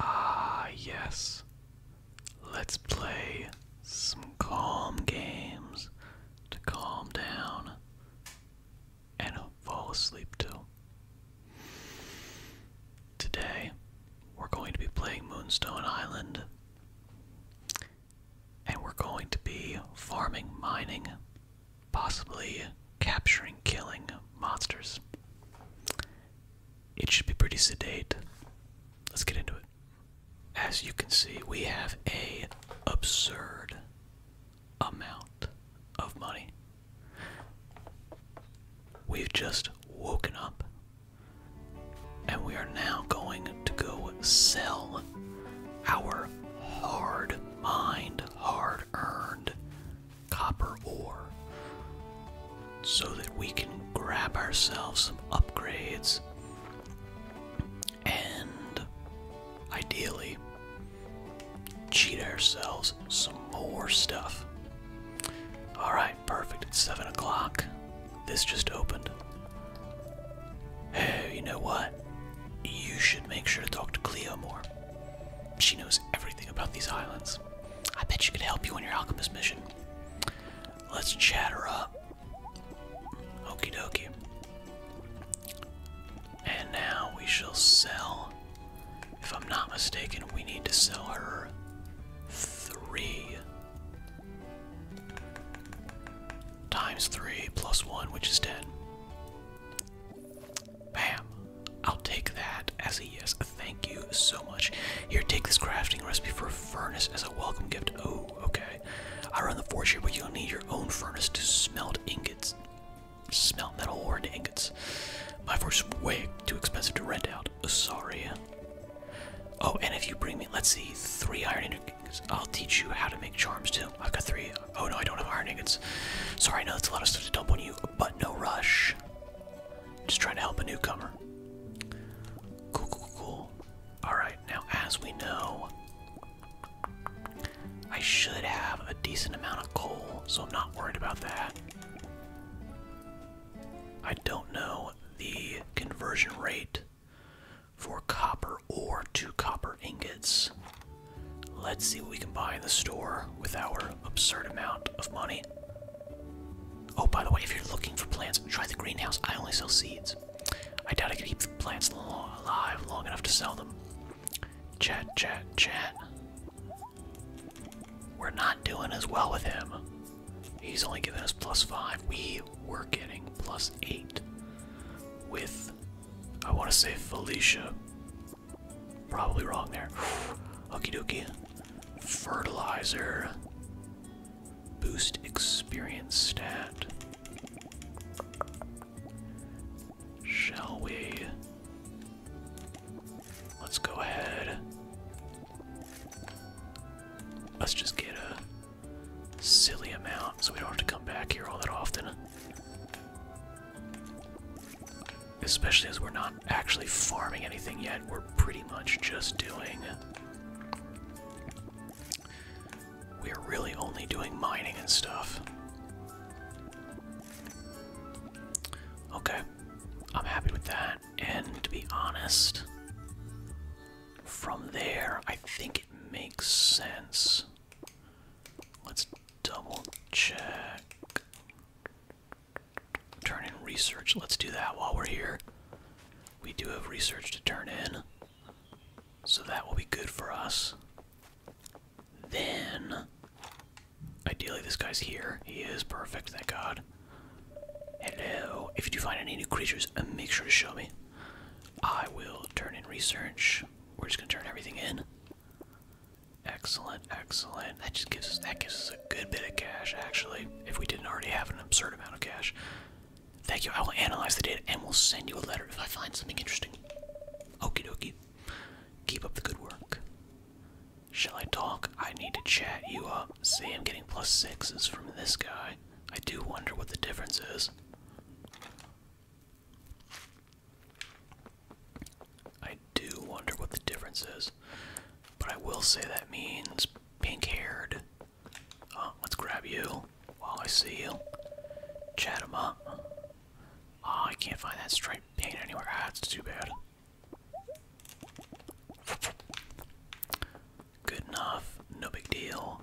Ah, yes. Let's play some calm games to calm down and fall asleep to. Today, we're going to be playing Moonstone Island. And we're going to be farming, mining, possibly capturing, killing monsters. It should be pretty sedate. Let's get into it. As you can see, we have a absurd amount of money. We've just woken up and we are now going to go sell our hard mined, hard earned copper ore so that we can grab ourselves some upgrades and ideally cheat ourselves some more stuff. Alright, perfect. It's 7 o'clock. This just opened. Hey, you know what? You should make sure to talk to Cleo more. She knows everything about these islands. I bet she could help you on your alchemist mission. Let's chatter up. Okie dokie. And now we shall sell. If I'm not mistaken, we need to sell her three times three plus one, which is ten. Bam. I'll take that as a yes. Thank you so much. Here, take this crafting recipe for a furnace as a welcome gift. Oh, okay. I run the forge here, but you'll need your own furnace to smelt ingots. Smelt metal ore into ingots. My forge is way too expensive to rent out. Sorry. Oh, and if you bring me, let's see, three iron ingots, I'll teach you how to make charms too. I've got three. Oh no, I don't have iron ingots. Sorry, I know that's a lot of stuff to dump on you, but no rush. Just trying to help a newcomer. Cool, cool, cool. Alright, now as we know, I should have a decent amount of coal, so I'm not worried about that. I don't know the conversion rate for copper ore to copper ingots. Let's see what we can buy in the store with our absurd amount of money. Oh, by the way, if you're looking for plants, try the greenhouse. I only sell seeds. I doubt I can keep plants alive long enough to sell them. Chat, chat, chat. We're not doing as well with him. He's only giving us plus five. We were getting plus eight with, I want to say Felicia. Probably wrong there. Okey dokey fertilizer, boost experience stat. Shall we? Let's go ahead. Let's just get a silly amount so we don't have to come back here all that often especially as we're not actually farming anything yet, we're pretty much just doing. We're really only doing mining and stuff. Okay, I'm happy with that. And to be honest, from there, I think it makes sense. Let's double check. Turn in research. Let's do that while we're here. We do have research to turn in. So that will be good for us. Then, ideally, this guy's here. He is perfect, thank God. Hello. If you do find any new creatures, uh, make sure to show me. I will turn in research. We're just gonna turn everything in. Excellent, excellent. That just gives us that gives us good bit of cash, actually, if we didn't already have an absurd amount of cash. Thank you. I will analyze the data and we will send you a letter if I find something interesting. Okie dokie. Keep up the good work. Shall I talk? I need to chat you up. See, I'm getting plus sixes from this guy. I do wonder what the difference is. I do wonder what the difference is. But I will say that means pink haired. Uh, let's grab you while I see you. Chat him up. Oh, I can't find that striped paint anywhere. That's ah, too bad. Good enough. No big deal.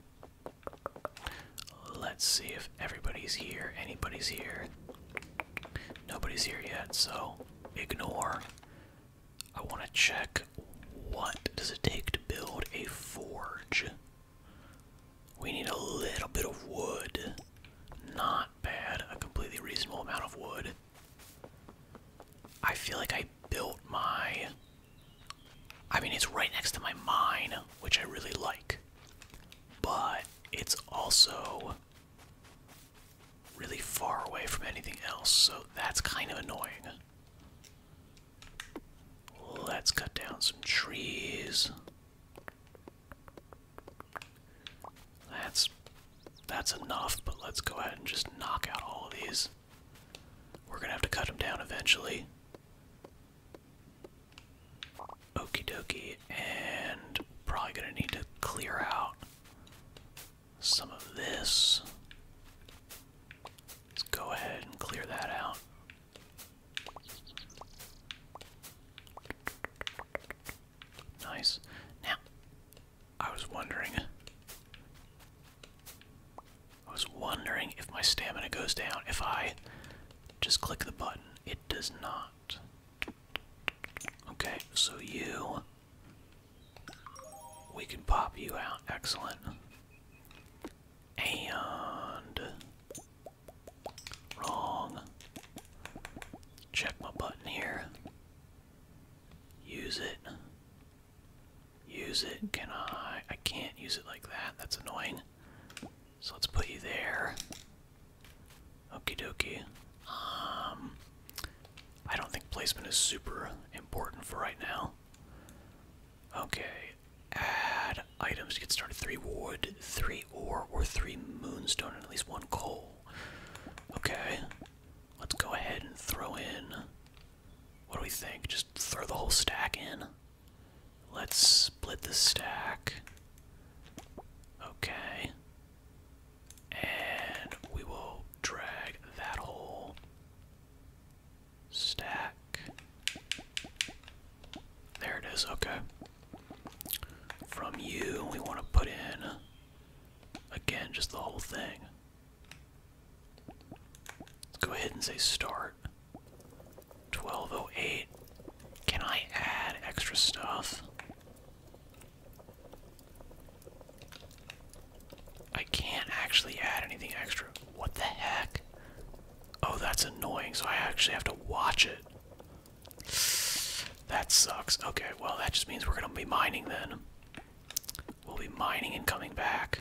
Let's see if everybody's here. Anybody's here. Nobody's here yet, so ignore. I want to check what does it take to build a forge. We need a little bit of wood. Not bad, a completely reasonable amount of wood. I feel like I built my I mean it's right next to my mine, which I really like. But it's also really far away from anything else, so that's kind of annoying. Let's cut down some trees. That's that's enough, but let's go ahead and just knock out all of these. We're gonna have to cut them down eventually. Okie dokie, and probably gonna need to clear out some of this. Let's go ahead and clear that out. Nice. Now, I was wondering. I was wondering if my stamina goes down if I just click the button. It does not. Okay, so you we can pop you out. Excellent. And. Wrong. Check my button here. Use it. Use it. Can I? I can't use it like that. That's annoying. So let's put you there. Okie dokie. Um, I don't think placement is super important for right now. Okay, add items to get started. Three wood, three ore, or three moonstone, and at least one coal. Okay, let's go ahead and throw in. What do we think? Just throw the whole stack in? Let's split the stack. Okay. And we will drag that whole stack. There it is, okay. From you, we want to put in, again, just the whole thing. Let's go ahead and say start. 1208. Can I add extra stuff? I can't actually add anything extra. What the heck? Oh, that's annoying, so I actually have to watch it. That sucks. Okay, well, that just means we're gonna be mining then. We'll be mining and coming back.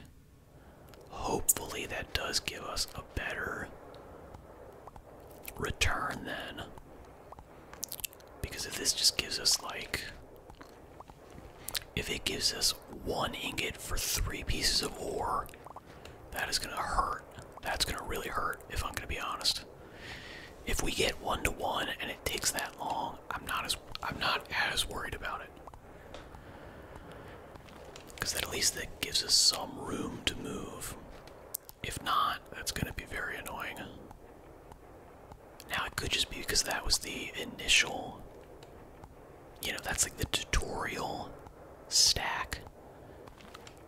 Hopefully, that does give us a better return then. Because if this just gives us like if it gives us one ingot for three pieces of ore, that is gonna hurt. That's gonna really hurt, if I'm gonna be honest. If we get one to one and it takes that long, I'm not as I'm not as worried about it. Because that at least that gives us some room to move. If not, that's gonna be very annoying. Now it could just be because that was the initial, you know, that's like the tutorial stack.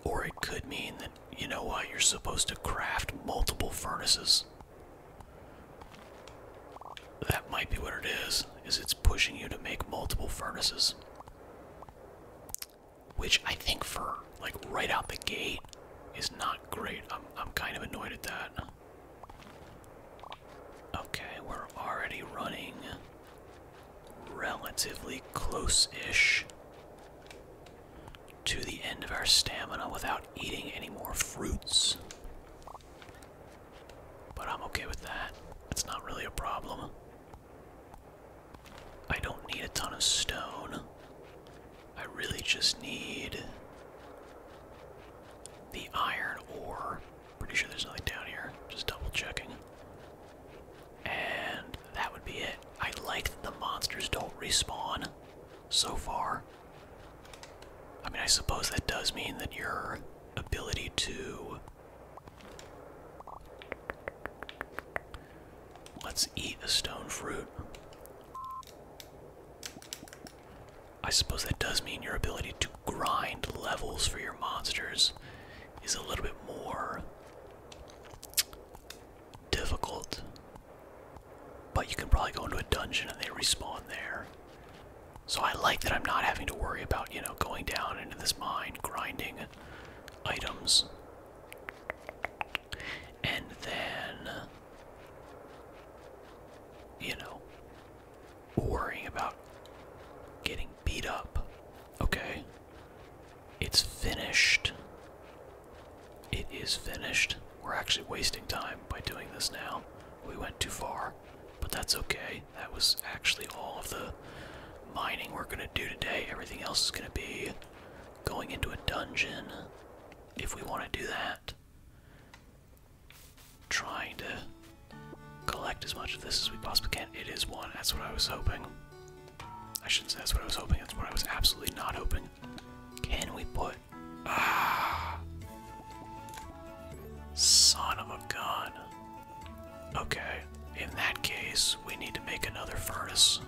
Or it could mean that, you know what, you're supposed to craft multiple furnaces. That might be what it is, is it's pushing you to make multiple furnaces. Which I think for, like, right out the gate is not great. I'm, I'm kind of annoyed at that. Okay, we're already running relatively close ish to the end of our stamina without eating any more fruits. But I'm okay with that. It's not really a problem. I don't need a ton of stone. I really just need the iron ore. Pretty sure there's nothing down here. Just double checking. And that would be it. I like that the monsters don't respawn so far. I mean, I suppose that does mean that your ability to. Let's eat a stone fruit. I suppose that does mean your ability to grind levels for your monsters is a little bit more difficult. But you can probably go into a dungeon and they respawn there. So I like that I'm not having to worry about, you know, going down into this mine, grinding items. And then you know, worrying about getting beat up. Okay? It's finished. It is finished. We're actually wasting time by doing this now. We went too far, but that's okay. That was actually all of the mining we're gonna do today. Everything else is gonna be going into a dungeon if we want to do that trying to collect as much of this as we possibly can. It is one, that's what I was hoping. I shouldn't say that's what I was hoping, that's what I was absolutely not hoping. Can we put. Ah, son of a gun. Okay, in that case, we need to make another furnace.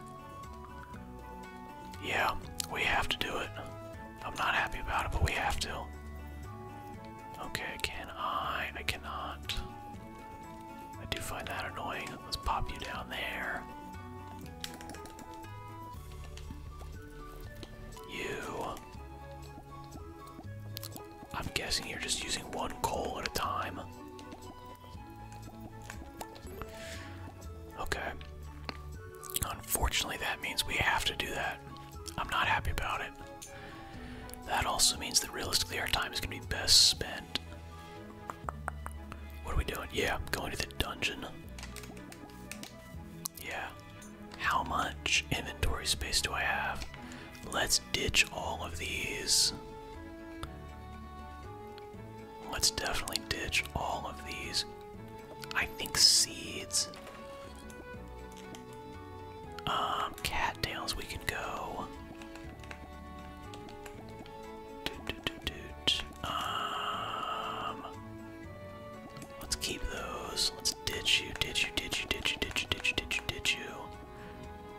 Yeah, we have to do it. I'm not happy about it, but we have to. Okay, can I? I cannot. I do find that annoying. Let's pop you down there. You. I'm guessing you're just using one coal at a time. Okay. Unfortunately, that means we have to do that. I'm not happy about it. That also means that realistically, our time is going to be best spent. What are we doing? Yeah, going to the dungeon. Yeah. How much inventory space do I have? Let's ditch all of these. Let's definitely ditch all of these. I think seeds. Um, cattails we can go. Um, let's keep those. Let's ditch you, ditch you, ditch you, ditch you, ditch you, ditch you, ditch you, ditch you.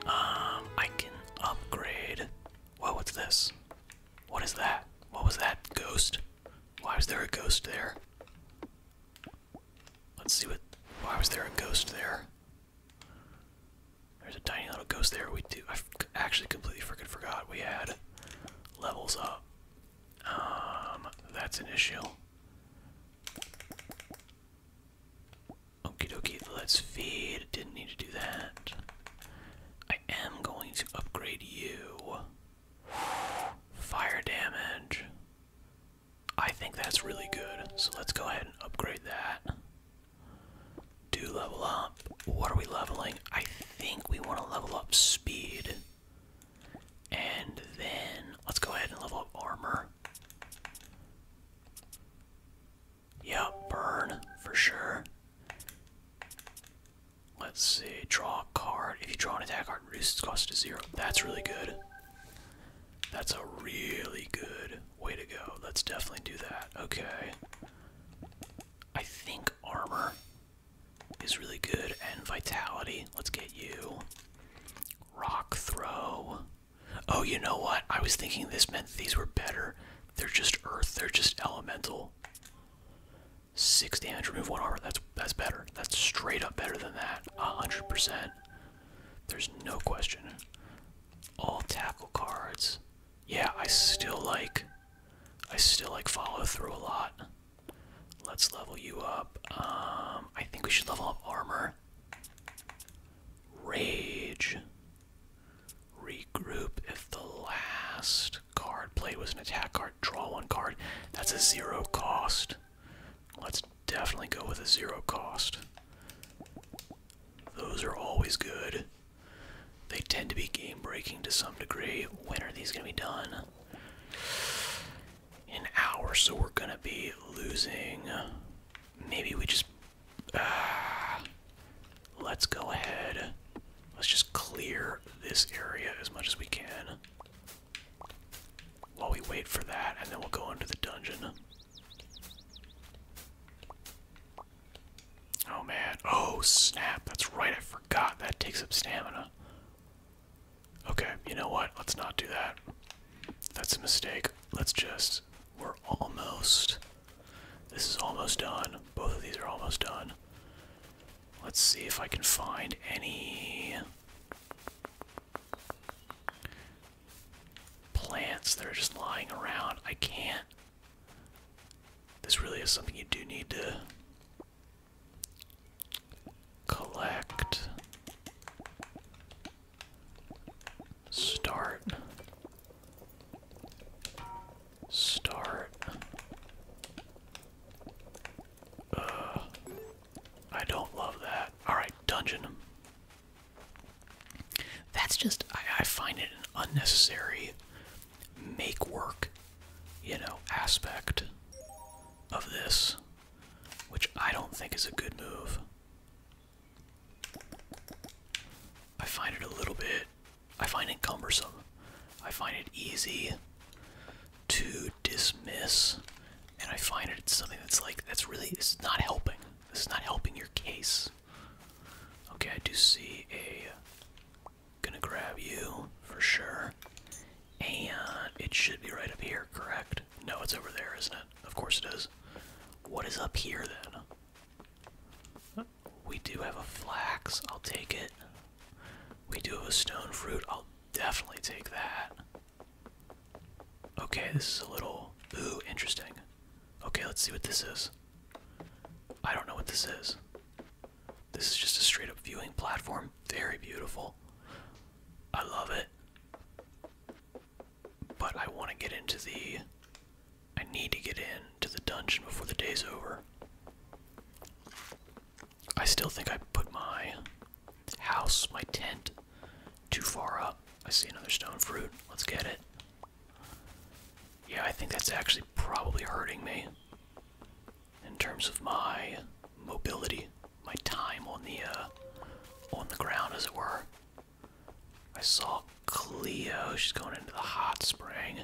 Um, I can upgrade. Whoa, what's this? What is that? What was that? Ghost? Why was there a ghost there? Let's see what. Why was there a ghost there? There's a tiny little ghost there. We do. I actually completely freaking forgot we had levels up. Um, that's an issue. Okie dokie, let's feed. Didn't need to do that. I am going to upgrade you. Fire damage. I think that's really good. So let's go ahead and upgrade that. Do level up. What are we leveling? I think we want to level up speed. And then let's go ahead and level up armor. Yeah, burn for sure. Let's see, draw a card. If you draw an attack card, reduce its cost to zero. That's really good. That's a really good way to go. Let's definitely do that. Okay. I think armor is really good. And vitality. Let's get you. Rock throw. Oh, you know what? I was thinking this meant these were better. They're just earth, they're just elemental. Six damage, remove one armor. That's that's better. That's straight up better than that. A hundred percent. There's no question. All tackle cards. Yeah, I still like I still like follow through a lot. Let's level you up. Um I think we should level up armor. Rage. Regroup if the last card. Play was an attack card. Draw one card. That's a zero cost. Let's definitely go with a zero cost. Those are always good. They tend to be game breaking to some degree. When are these going to be done? In an hour, so we're going to be losing. Maybe we just. Ah, let's go ahead. Let's just clear this area as much as we can. While we wait for that, and then we'll go into the dungeon. Oh man. Oh snap. That's right. I forgot. That takes up stamina. Okay, you know what? Let's not do that. That's a mistake. Let's just. We're almost. This is almost done. Both of these are almost done. Let's see if I can find any plants that are just lying around. I can't. This really is something you do need to collect. Start. Start. Uh, I don't love that. Alright, dungeon. That's just, I, I find it an unnecessary make work, you know, aspect of this, which I don't think is a good move. I find it a little bit, I find it cumbersome. I find it easy to dismiss, and I find it's something that's like that's really it's not helping. This is not helping your case. Okay, I do see a. Gonna grab you for sure, and it should be right up here, correct? No, it's over there, isn't it? Of course it is. What is up here then? We do have a flax. I'll take it. We do have a stone fruit. I'll definitely take that. Okay, this is a little. Ooh, interesting. Okay, let's see what this is. I don't know what this is. This is just a straight up viewing platform. Very beautiful. I love it. But I want to get into the. I need to get in to the dungeon before the day's over. I still think I put my house, my tent, too far up. I see another stone fruit. Let's get it. Yeah, I think that's actually probably hurting me in terms of my mobility, my time on the uh, on the ground, as it were. I saw Cleo. She's going into the hot spring.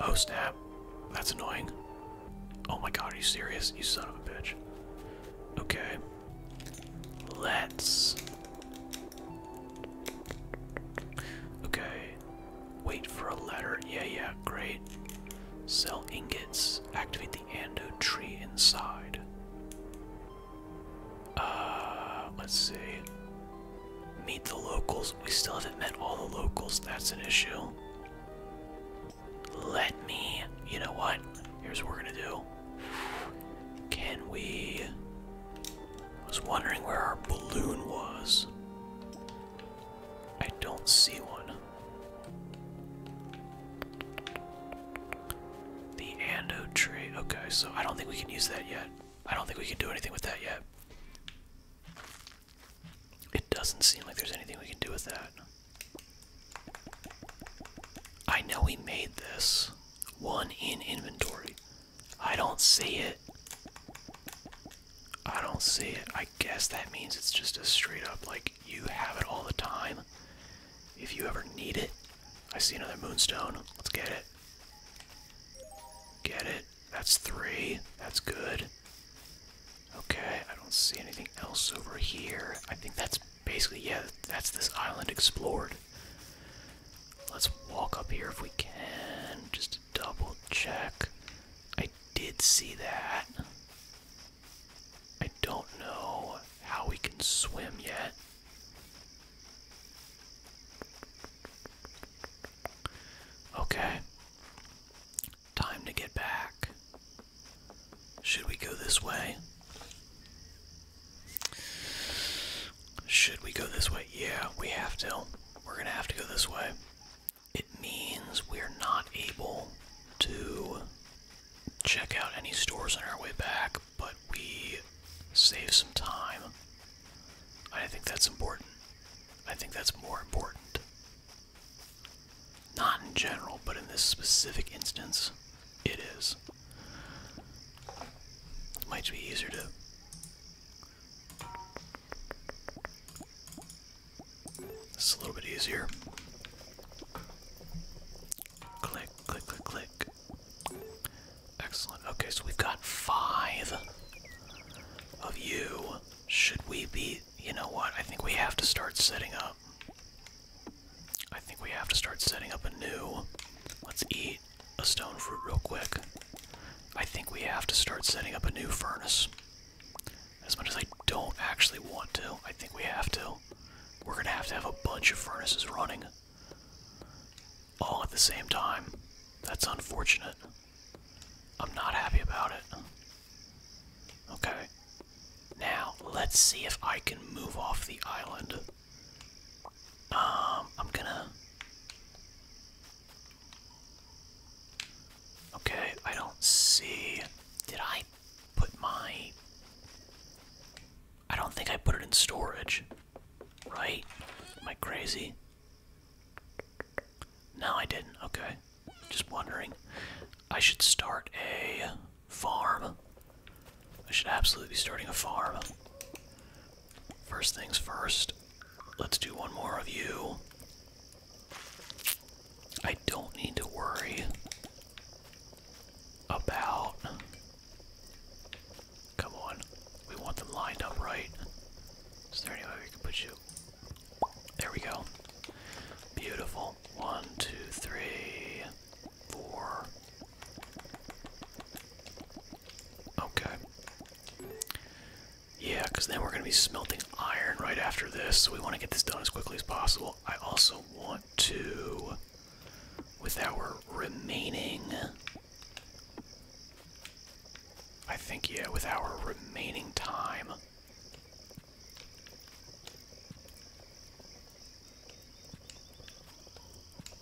Oh snap. That's annoying. Oh my god, are you serious? You son of a bitch. Okay. Let's. Okay. Wait for a letter. Yeah, yeah, great. Sell ingots. Activate the ando tree inside. Uh, let's see. Meet the locals. We still haven't met all the locals. That's an issue. Let me. You know what? Here's what we're gonna do. Can we. was wondering where our balloon was. I don't see one. The Ando tree. Okay, so I don't think we can use that yet. I don't think we can do anything with that yet. It doesn't seem like there's anything we can do with that. I know we made this one in inventory. I don't see it. I don't see it. I guess that means it's just a straight up like you have it all the time. If you ever need it, I see another moonstone. Let's get it. Get it. That's three. That's good. Okay, I don't see anything else over here. I think that's basically, yeah, that's this island explored. Let's walk up here if we can, just double check. I did see that. I don't know how we can swim yet. Okay. Time to get back. Should we go this way? Should we go this way? Yeah, we have to. We're gonna have to go this way. It means we're not able to check out any stores on our way back, but we save some time I think that's important. I think that's more important. Not in general, but in this specific instance, it is. It might be easier to. This is a little bit easier. Click, click, click, click. Excellent. Okay, so we've got five of you. Should we be. You know what? I think we have to start setting up. I think we have to start setting up a new. Let's eat a stone fruit real quick. I think we have to start setting up a new furnace. As much as I don't actually want to, I think we have to. We're gonna have to have a bunch of furnaces running all at the same time. That's unfortunate. I'm not happy about it. Okay. Now, let's see if I can move off the island. Um, I'm gonna... Okay, I don't see... Did I put my... I don't think I put it in storage. Right? Am I crazy? No, I didn't. Okay. Just wondering. I should start a farm. I should absolutely be starting a farm. First things first, let's do one more of you. I don't need to worry about Come on. We want them lined up right. Is there any way we can put you? There we go. Beautiful. One, two, three, four. Okay. Yeah, because then we're going to be smelting iron right after this, so we want to get this done as quickly as possible. I also want to, with our remaining I think, yeah, with our remaining time.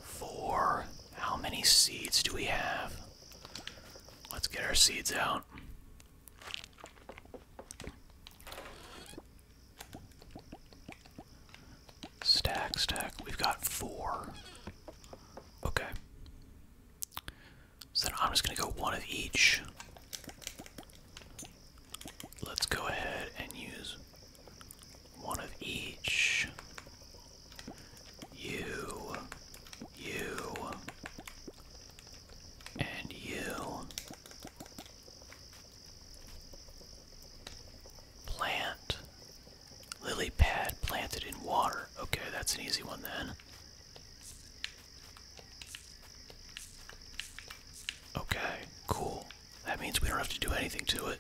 Four. How many seeds do we have? Let's get our seeds out. Stack, stack. We've got four. Okay. So I'm just gonna go one of each. Let's go ahead and use one of each. You, you, and you. Plant Lily pad planted in water. Okay, that's an easy one then. Okay, cool. That means we don't have to do anything to it.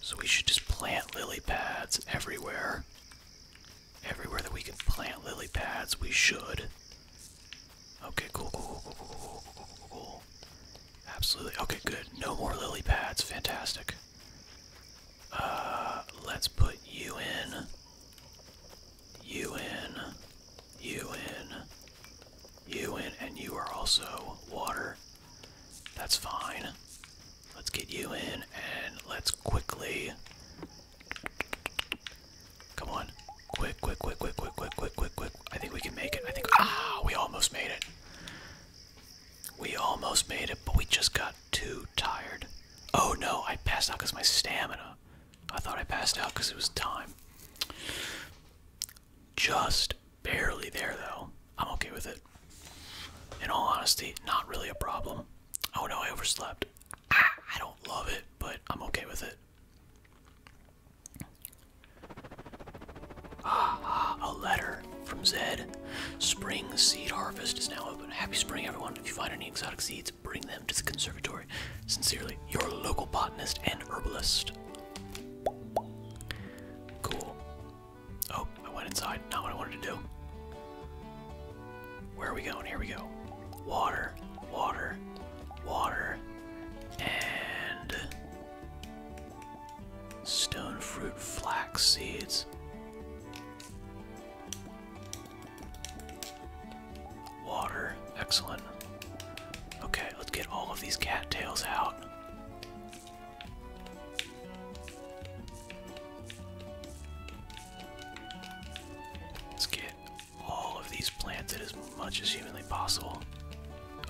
So we should just plant lily pads everywhere. Everywhere that we can plant lily pads, we should. Okay, cool, cool, cool, cool, cool, cool, cool, cool, cool. Absolutely. Okay, good. No more lily pads. Fantastic. Uh, let's put you in. You in. You in. You in. And you are also water. That's fine. Let's get you in and let's quickly. Come on. Quick, quick, quick, quick, quick, quick, quick, quick, quick. I think we can make it. I think. Ah, we almost made it. We almost made it, but we just got too tired. Oh no, I passed out because my stamina. I thought I passed out because it was time. Just barely there, though. I'm okay with it. In all honesty, not really a problem. Oh no, I overslept. Ah, I don't love it, but I'm okay with it. Ah, a letter from Zed. Spring seed harvest is now open. Happy spring, everyone. If you find any exotic seeds, bring them to the conservatory. Sincerely, your local botanist and herbalist. Cool. Oh, I went inside. Not what I wanted to do. Where are we going? Here we go. Water, water, water, and Stone fruit, flax seeds. Water, excellent. Okay, let's get all of these cattails out. Let's get all of these planted as much as humanly possible.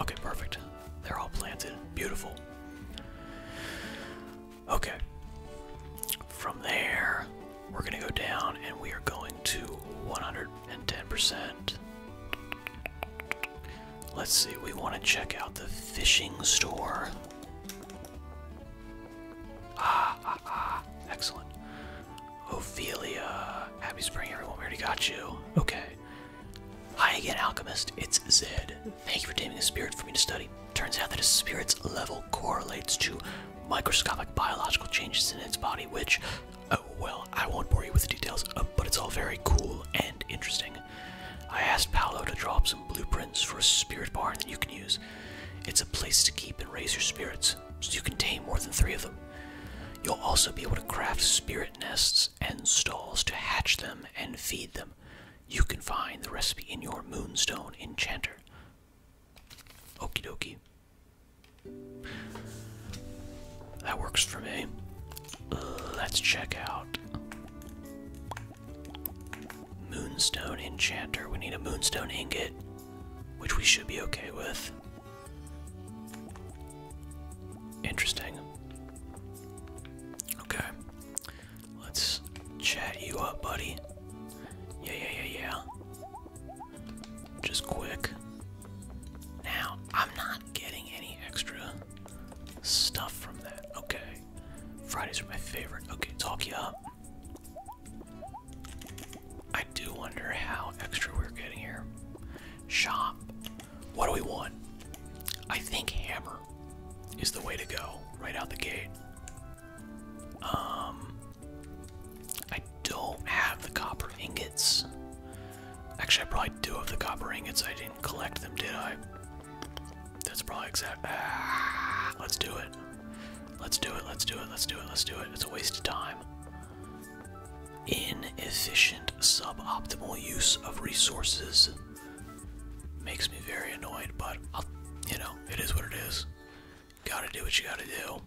Okay, perfect. They're all planted. Beautiful. Okay. From there, we're going to go down and we are going to 110%. Let's see, we want to check out the fishing store. Ah, ah, ah. Excellent. Ophelia. Happy spring, everyone. We already got you. Okay. Hi again, Alchemist. It's Zed. Thank you for taming a spirit for me to study. Turns out that a spirit's level correlates to microscopic biological changes in its body, which, oh well, I won't bore you with the details, uh, but it's all very cool and interesting. I asked Paolo to draw up some blueprints for a spirit barn that you can use. It's a place to keep and raise your spirits, so you can tame more than three of them. You'll also be able to craft spirit nests and stalls to hatch them and feed them. You can find the recipe in your Moonstone Enchanter. Okie dokie. That works for me. Let's check out Moonstone Enchanter. We need a Moonstone Ingot, which we should be okay with. Interesting. Okay. Let's chat you up, buddy. Yeah, yeah, yeah, yeah. Just quick. Now, I'm not getting any extra stuff from that. Okay. Fridays are my favorite. Okay, talk you up. I do wonder how extra we're getting here. Shop. What do we want? I think hammer is the way to go right out the gate. Um, I don't have the copper ingots. Actually, I probably do have the copper ingots. I didn't collect them, did I? That's probably exactly. Ah, let's do it. Let's do it. Let's do it. Let's do it. Let's do it. It's a waste of time. Inefficient, suboptimal use of resources. Makes me very annoyed, but you know, it is what it is. Gotta do what you gotta do.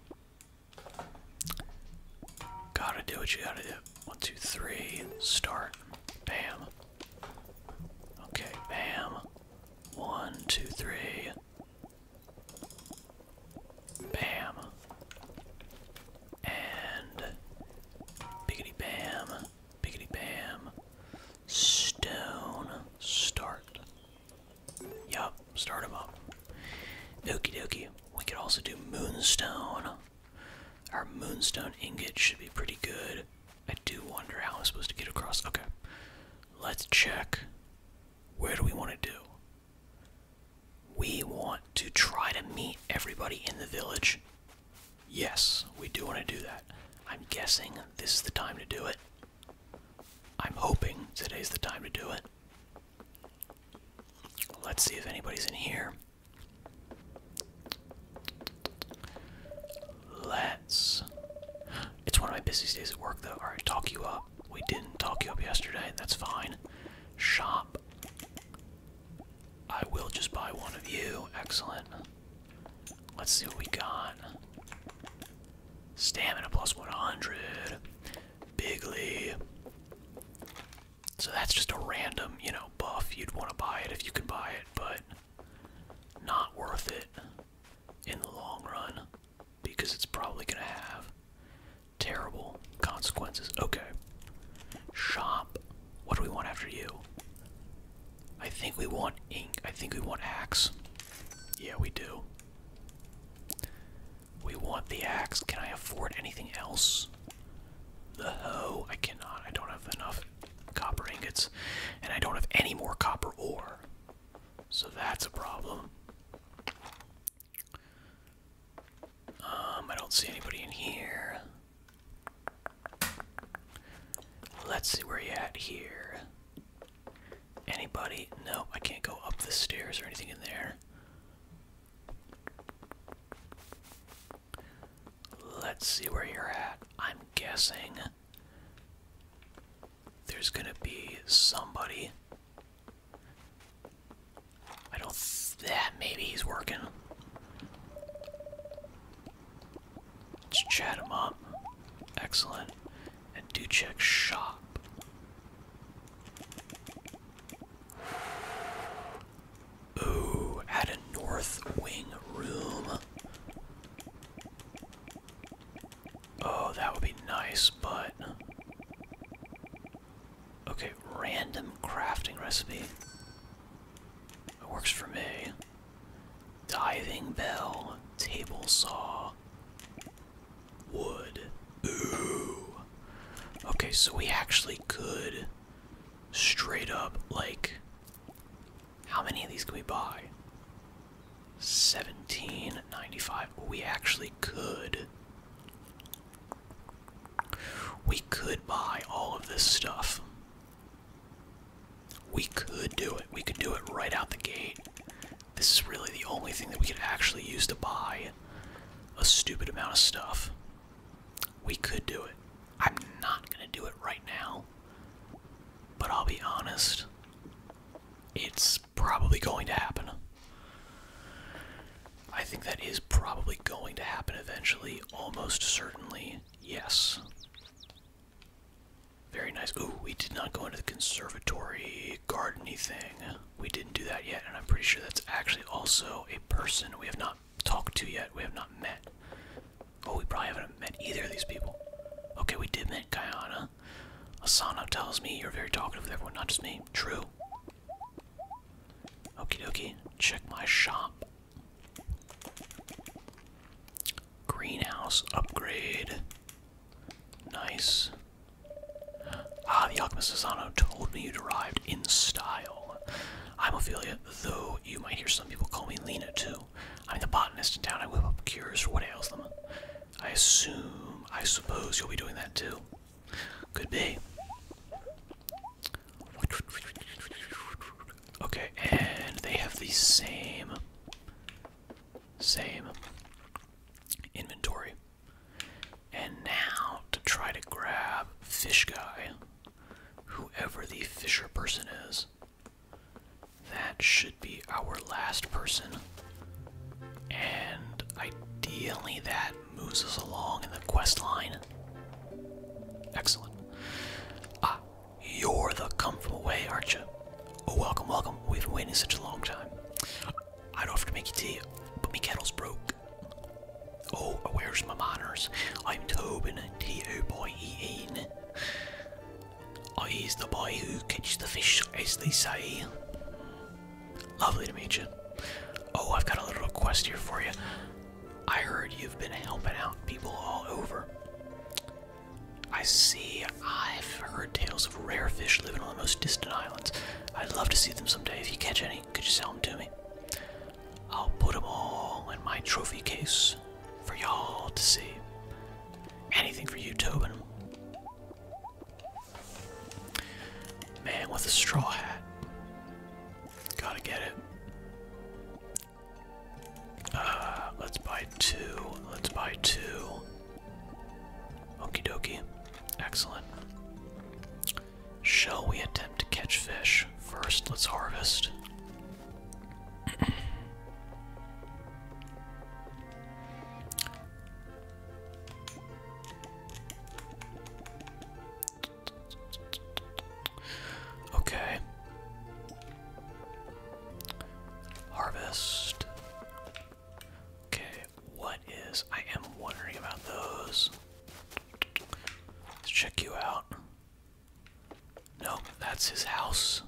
Gotta do what you gotta do. One, two, three, start. Bam. Okay, bam. One, two, three. Bam. And biggity bam. Biggity bam. Stone. Start. Yup, start him up. Okie dokie. We could also do moonstone. Our moonstone ingot should be pretty good. I do wonder how I'm supposed to get across. Okay. Let's check. Where do we want to do? We want to try to meet everybody in the village Yes, we do want to do that. I'm guessing this is the time to do it. I'm hoping today's the time to do it. Let's see if anybody's in here. Let's. It's one of my busiest days at work, though. Alright, talk you up. We didn't talk you up yesterday. That's fine. Shop. I will just buy one of you. Excellent. Let's see what we got. Stamina plus 100. Bigly. So that's just a random, you know, buff. You'd want to buy it if you can buy it, but not worth it in the long run because it's probably going to have terrible consequences. Okay. Shop. What do we want after you? I think we want ink. I think we want axe. Yeah, we do. We want the axe. Can I afford anything else? The hoe. I cannot. I don't have enough copper ingots. And I don't have any more copper ore. So that's a problem. Um, I don't see anybody in here. Let's see where you are at here. Anybody? No, I can't go up the stairs or anything in there. Let's see where you're at. I'm guessing there's gonna be somebody. I don't. Th yeah, maybe he's working. Let's chat him up. Excellent. And do check shop. Ooh, add a north wing room. Oh, that would be nice, but. Okay, random crafting recipe. It works for me. Diving bell, table saw, wood. Ooh. Okay, so we actually could straight up, like, how many of these can we buy? 1795. We actually could. We could buy all of this stuff. We could do it. We could do it right out the gate. This is really the only thing that we could actually use to buy a stupid amount of stuff. We could do it. I'm not going to do it right now. But I'll be honest, it's probably going to happen. I think that is probably going to happen eventually, almost certainly, yes. Very nice. Ooh, we did not go into the conservatory gardeny thing. We didn't do that yet, and I'm pretty sure that's actually also a person we have not talked to yet. We have not met. Oh, we probably haven't met either of these people. Okay, we did meet Guyana. Asana tells me you're very talkative with everyone, not just me. True. Okey dokey. Check my shop. Greenhouse upgrade. Nice. Ah, the Alchemist told me you would arrived in style. I'm Ophelia, though you might hear some people call me Lena too. I'm the botanist in town. I whip up cures for what ails them. I assume, I suppose you'll be doing that too. Could be. Okay, and they have the same same inventory. And now to try to grab fish guy, whoever the fisher person is. That should be our last person. And ideally that moves us along in the quest line. Excellent. Ah, you're the come from away, aren't you? Oh, welcome, welcome. We've been waiting such a long time. I would offer to make you tea, but my kettle's broke. Oh, where's my manners? I'm Tobin, T-O-B-E-N. I's oh, the boy who catches the fish, as they say. Lovely to meet you. Oh, I've got a little request here for you. I heard you've been helping out people all over. I see. I've heard tales of rare fish living on the most distant islands. I'd love to see them someday. If you catch any, could you sell them to me? I'll put them all in my trophy case for y'all to see. Anything for you, Tobin. Man with a straw hat. Gotta get it. Uh, let's buy two. Let's buy two. Okie dokie. Excellent. Shall we attempt to catch fish? First, let's harvest. Okay. Harvest. Okay, what is. I am wondering about those. Let's check you out. No, that's his house.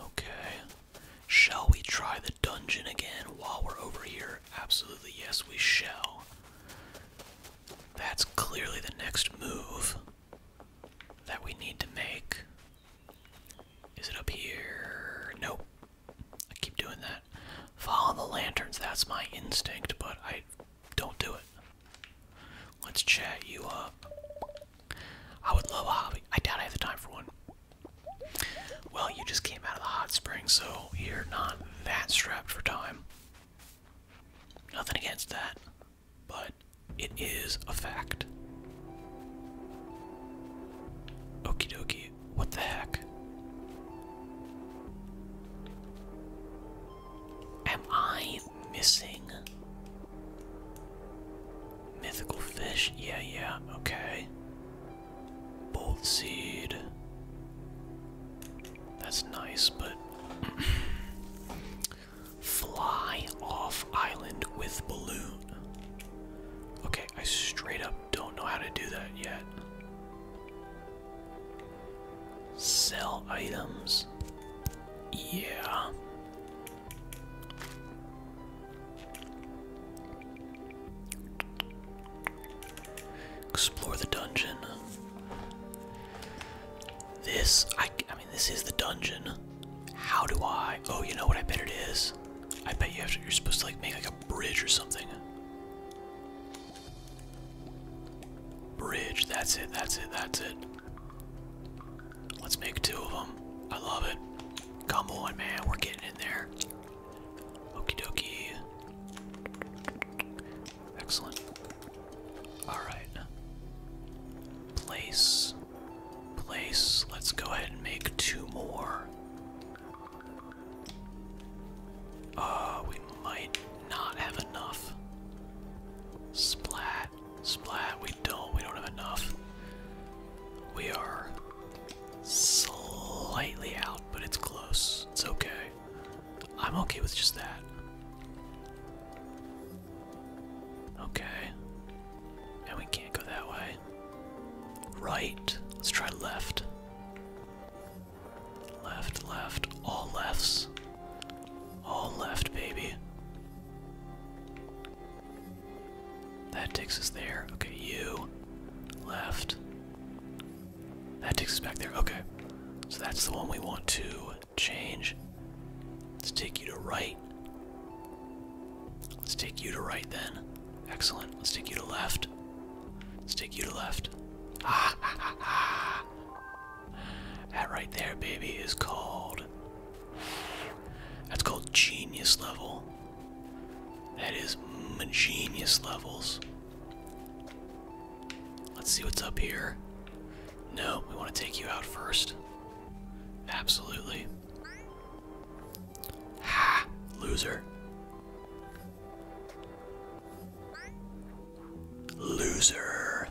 Okay. Shall we try the dungeon again while we're over here? Absolutely, yes, we shall. That's clearly the next move that we need to make. Is it up here? Nope. I keep doing that. Follow the lanterns. That's my instinct, but I don't do it. Let's chat you up. I would love a hobby. I doubt I have the time for one. Well, you just came out of the hot spring, so you're not that strapped for time. Nothing against that, but it is a fact. Okie dokie, what the heck? Am I missing mythical fish? Yeah, yeah, okay. Bolt seed. That's nice, but fly off island with balloon. Okay, I straight up don't know how to do that yet. Sell items. Yeah. Explore the dungeon. This, I, I mean, this is the dungeon. How do I? Oh, you know what? I bet it is. I bet you have to, you're supposed to like make like a bridge or something. Bridge. That's it. That's it. That's it. Let's make two of them. I love it. Come on, man. We're getting in there. Okie dokie. Excellent. Alright. Place. Place. Let's go ahead and make two more. Uh, we might not have enough. Splat. Splat. We don't. We don't have enough. We are slightly out, but it's close. It's okay. I'm okay with just that. Okay. And we can't go that way. Right. Let's try left. Left, left. All lefts. All left, baby. That takes us there. Okay, you. Left. That takes us back there. Okay. So that's the one we want to Change. Let's take you to right. Let's take you to right then. Excellent. Let's take you to left. Let's take you to left. Ah, That right there, baby, is called. That's called genius level. That is genius levels. Let's see what's up here. No, we want to take you out first. Absolutely. Loser. Loser.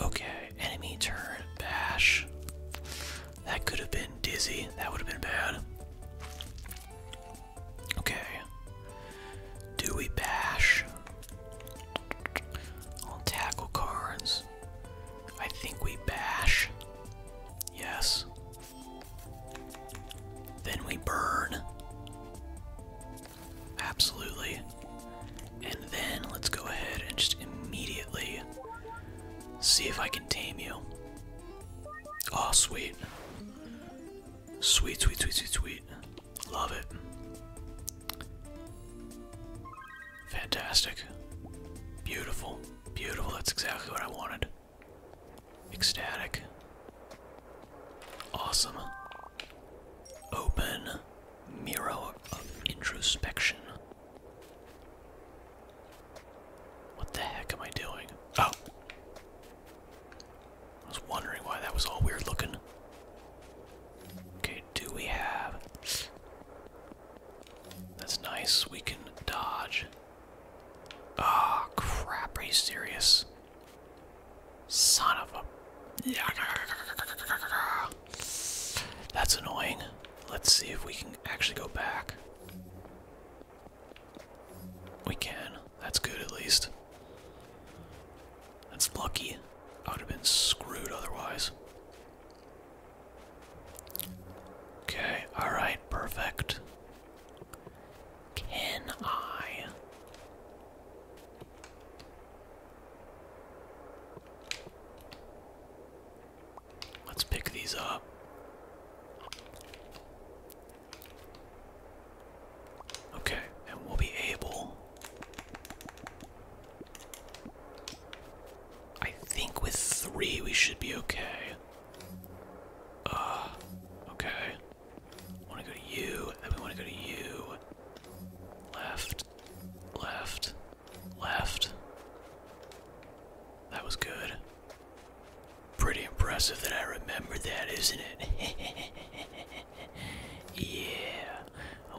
Okay, enemy turn bash. That could have been dizzy. That would have been bad. Okay. Do we bash? All tackle cards. I think we bash. Yes. Then we burn. Absolutely. And then let's go ahead and just immediately see if I can tame you. Oh, sweet. Sweet, sweet, sweet, sweet, sweet. Love it. Fantastic. Beautiful. Beautiful. That's exactly what I wanted. Ecstatic. Awesome. Open mirror of introspection. What the heck am I doing? Oh. I was wondering why that was all weird looking. Okay, do we have. That's nice. We can dodge. Ah, oh, crap. Are you serious? Son of a. That's annoying. Let's see if we can actually go back. We can. That's good at least. That's lucky. I would have been screwed otherwise. Okay, alright, perfect. Can I? Let's pick these up. Okay, and we'll be able. I think with three we should be okay. Uh, okay. Want to go to you, and to go to you. Left, left, left. That was good. Pretty impressive that I remember that, isn't it? yeah.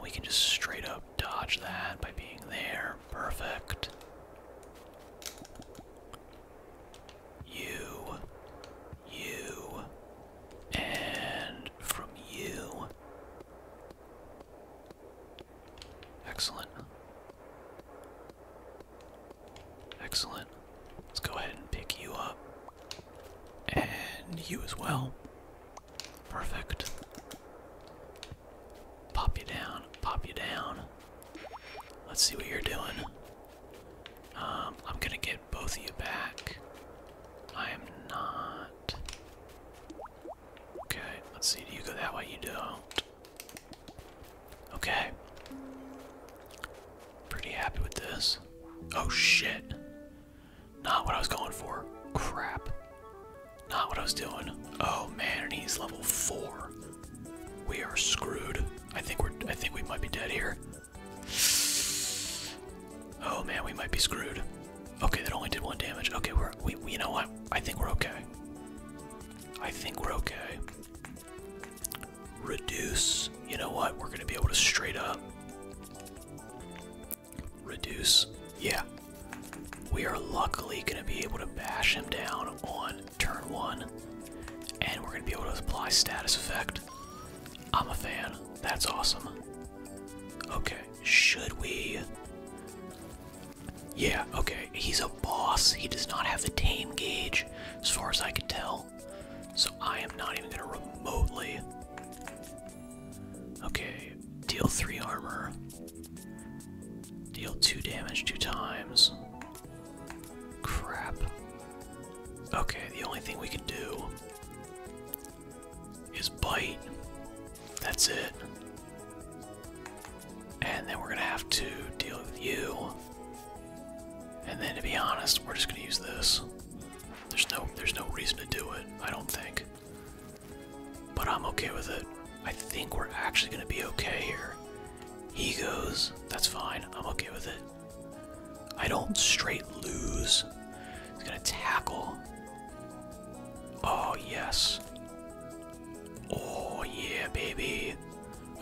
we can just straight up dodge that by being there. Perfect. You. You. And from you. Excellent. Excellent. Let's go ahead and pick you up. And you as well. Perfect. Pop you down, pop you down. Let's see what you're doing. Um, I'm gonna get both of you back. I am not. Okay, let's see. Do you go that way? You don't. Okay. Pretty happy with this. Oh shit. Not what I was going for. Crap. Not what I was doing. Oh man, and he's level four. We are screwed. I think we're I think we might be dead here. Oh man, we might be screwed. Okay, that only did one damage. Okay, we're we, you know what? I think we're okay. I think we're okay reduce. You know what? We're going to be able to straight up reduce. Yeah. We are luckily going to be able to bash him down on turn one. And we're going to be able to apply status effect. I'm a fan. That's awesome. Okay. Should we. Yeah, okay. He's a boss. He does not have the tame gauge, as far as I can tell. So I am not even gonna remotely. Okay, deal three armor. Deal two damage two times. Crap. Okay, the only thing we can do is bite. That's it. And then we're gonna have to deal with you. And then to be honest, we're just gonna use this. There's no there's no reason to do it, I don't think. But I'm okay with it. I think we're actually gonna be okay here. He goes, that's fine, I'm okay with it. I don't straight lose. He's gonna tackle. Oh yes. Oh yeah, baby.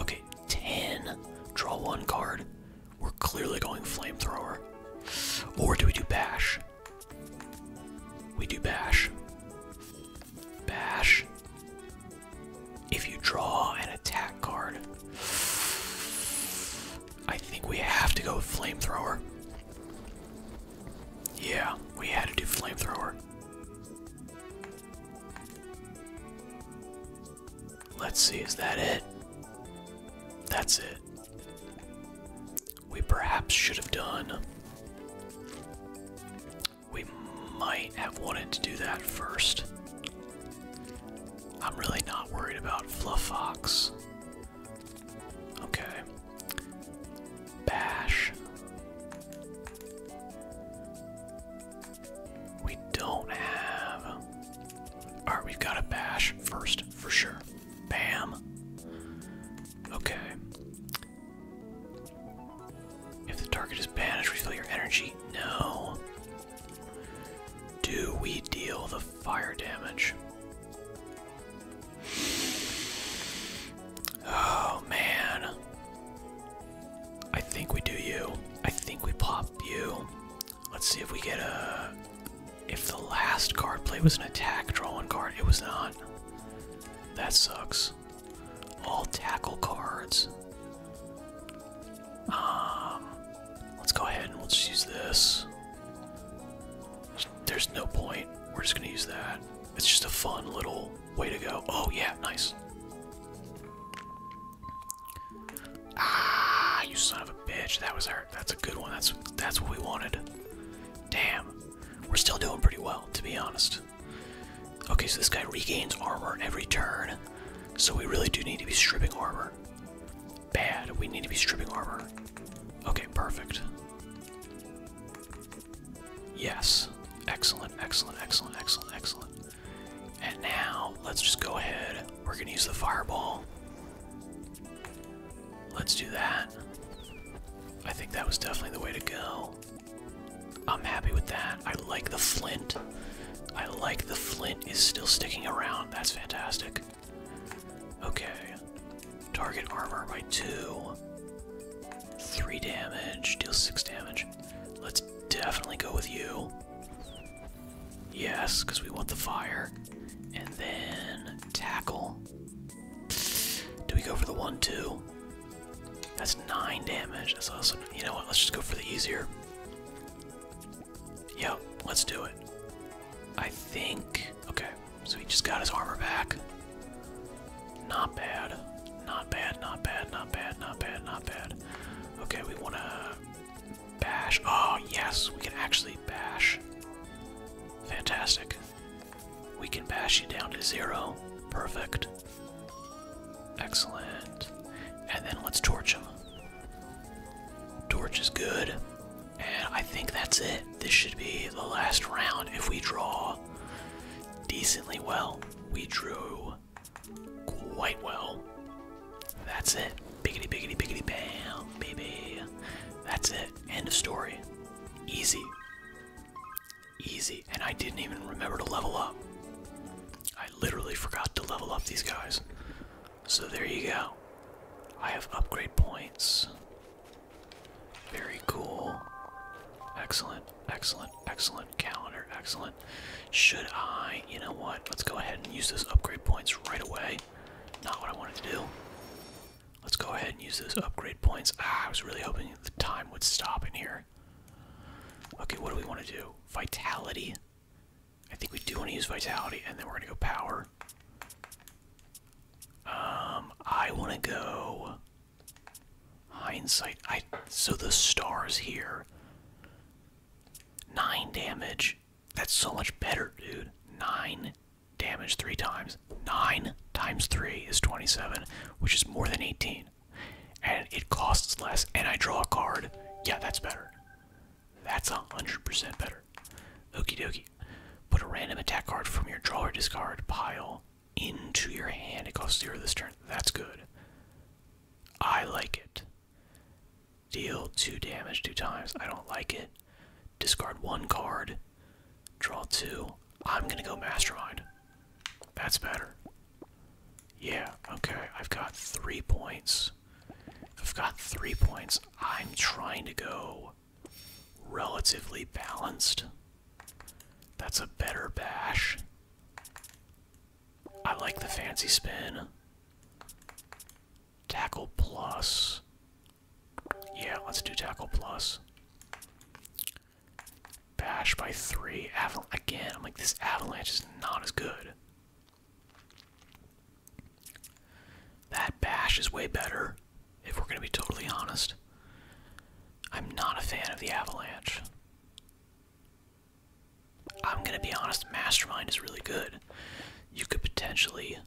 Okay, 10. Draw one card. We're clearly going flamethrower. Or do we do bash? We do bash. Bash. If you draw an attack card, I think we have to go with flamethrower. Yeah, we had to do flamethrower. Let's see, is that it? That's it. We perhaps should have done. We might have wanted to do that first. I'm really not worried about Fluffox. Okay. Bash. We don't have. Alright, we've got a bash first, for sure. Bam. Okay. If the target is banished, refill your energy. No. Do we deal the fire damage? Oh man. I think we do you. I think we pop you. Let's see if we get a. If the last card play was an attack, draw one card. It was not. That sucks. All tackle cards. Um, let's go ahead and we'll just use this. there's no point. We're just gonna use that. It's just a fun little way to go. Oh yeah, nice. Ah, you son of a bitch. That was our that's a good one. That's that's what we wanted. Damn. We're still doing pretty well, to be honest. Okay, so this guy regains armor every turn. So we really do need to be stripping armor. Bad. We need to be stripping armor. Okay, perfect. Yes. Excellent, excellent, excellent, excellent, excellent. And now, let's just go ahead. We're gonna use the fireball. Let's do that. I think that was definitely the way to go. I'm happy with that. I like the flint. I like the flint is still sticking around. That's fantastic. Okay. Target armor by two. Three damage. Deal six damage. Let's definitely go with you. Yes, because we want the fire. And then tackle. Do we go for the one, two? That's nine damage. That's also, you know what? Let's just go for the easier. Yep, let's do it. I think. Okay, so he just got his armor back. Not bad. Not bad, not bad, not bad, not bad, not bad. Okay, we want to Bash. Oh, yes, we can actually bash. Fantastic. We can bash you down to zero. Perfect. Excellent. And then let's torch him. Torch is good. And I think that's it. This should be the last round if we draw decently well. We drew quite well. That's it. Biggity, biggity, biggity, bam, baby. That's it. End of story. Easy. Easy. And I didn't even remember to level up. I literally forgot to level up these guys. So there you go. I have upgrade points. Very cool. Excellent, excellent, excellent. Calendar, excellent. Should I? You know what? Let's go ahead and use those upgrade points right away. Not what I wanted to do. Let's go ahead and use those upgrade points. Ah, I was really hoping the time would stop in here. Okay, what do we want to do? Vitality. I think we do want to use vitality, and then we're gonna go power. Um, I want to go hindsight. I so the stars here. Nine damage. That's so much better, dude. 9 damage 3 times. 9 times 3 is 27, which is more than 18. And it costs less, and I draw a card. Yeah, that's better. That's 100% better. okey dokie. Put a random attack card from your draw or discard pile into your hand. It costs 0 this turn. That's good. I like it. Deal two damage two times. I don't like it. Discard one card. Draw two. I'm gonna go Mastermind. That's better. Yeah, okay. I've got three points. I've got three points. I'm trying to go relatively balanced. That's a better bash. I like the fancy spin. Tackle plus. Yeah, let's do tackle plus. Bash by three. Avalanche Again, I'm like, this avalanche is not as good. That bash is way better, if we're going to be totally honest. I'm not a fan of the avalanche. I'm gonna be honest, Mastermind is really good. You could potentially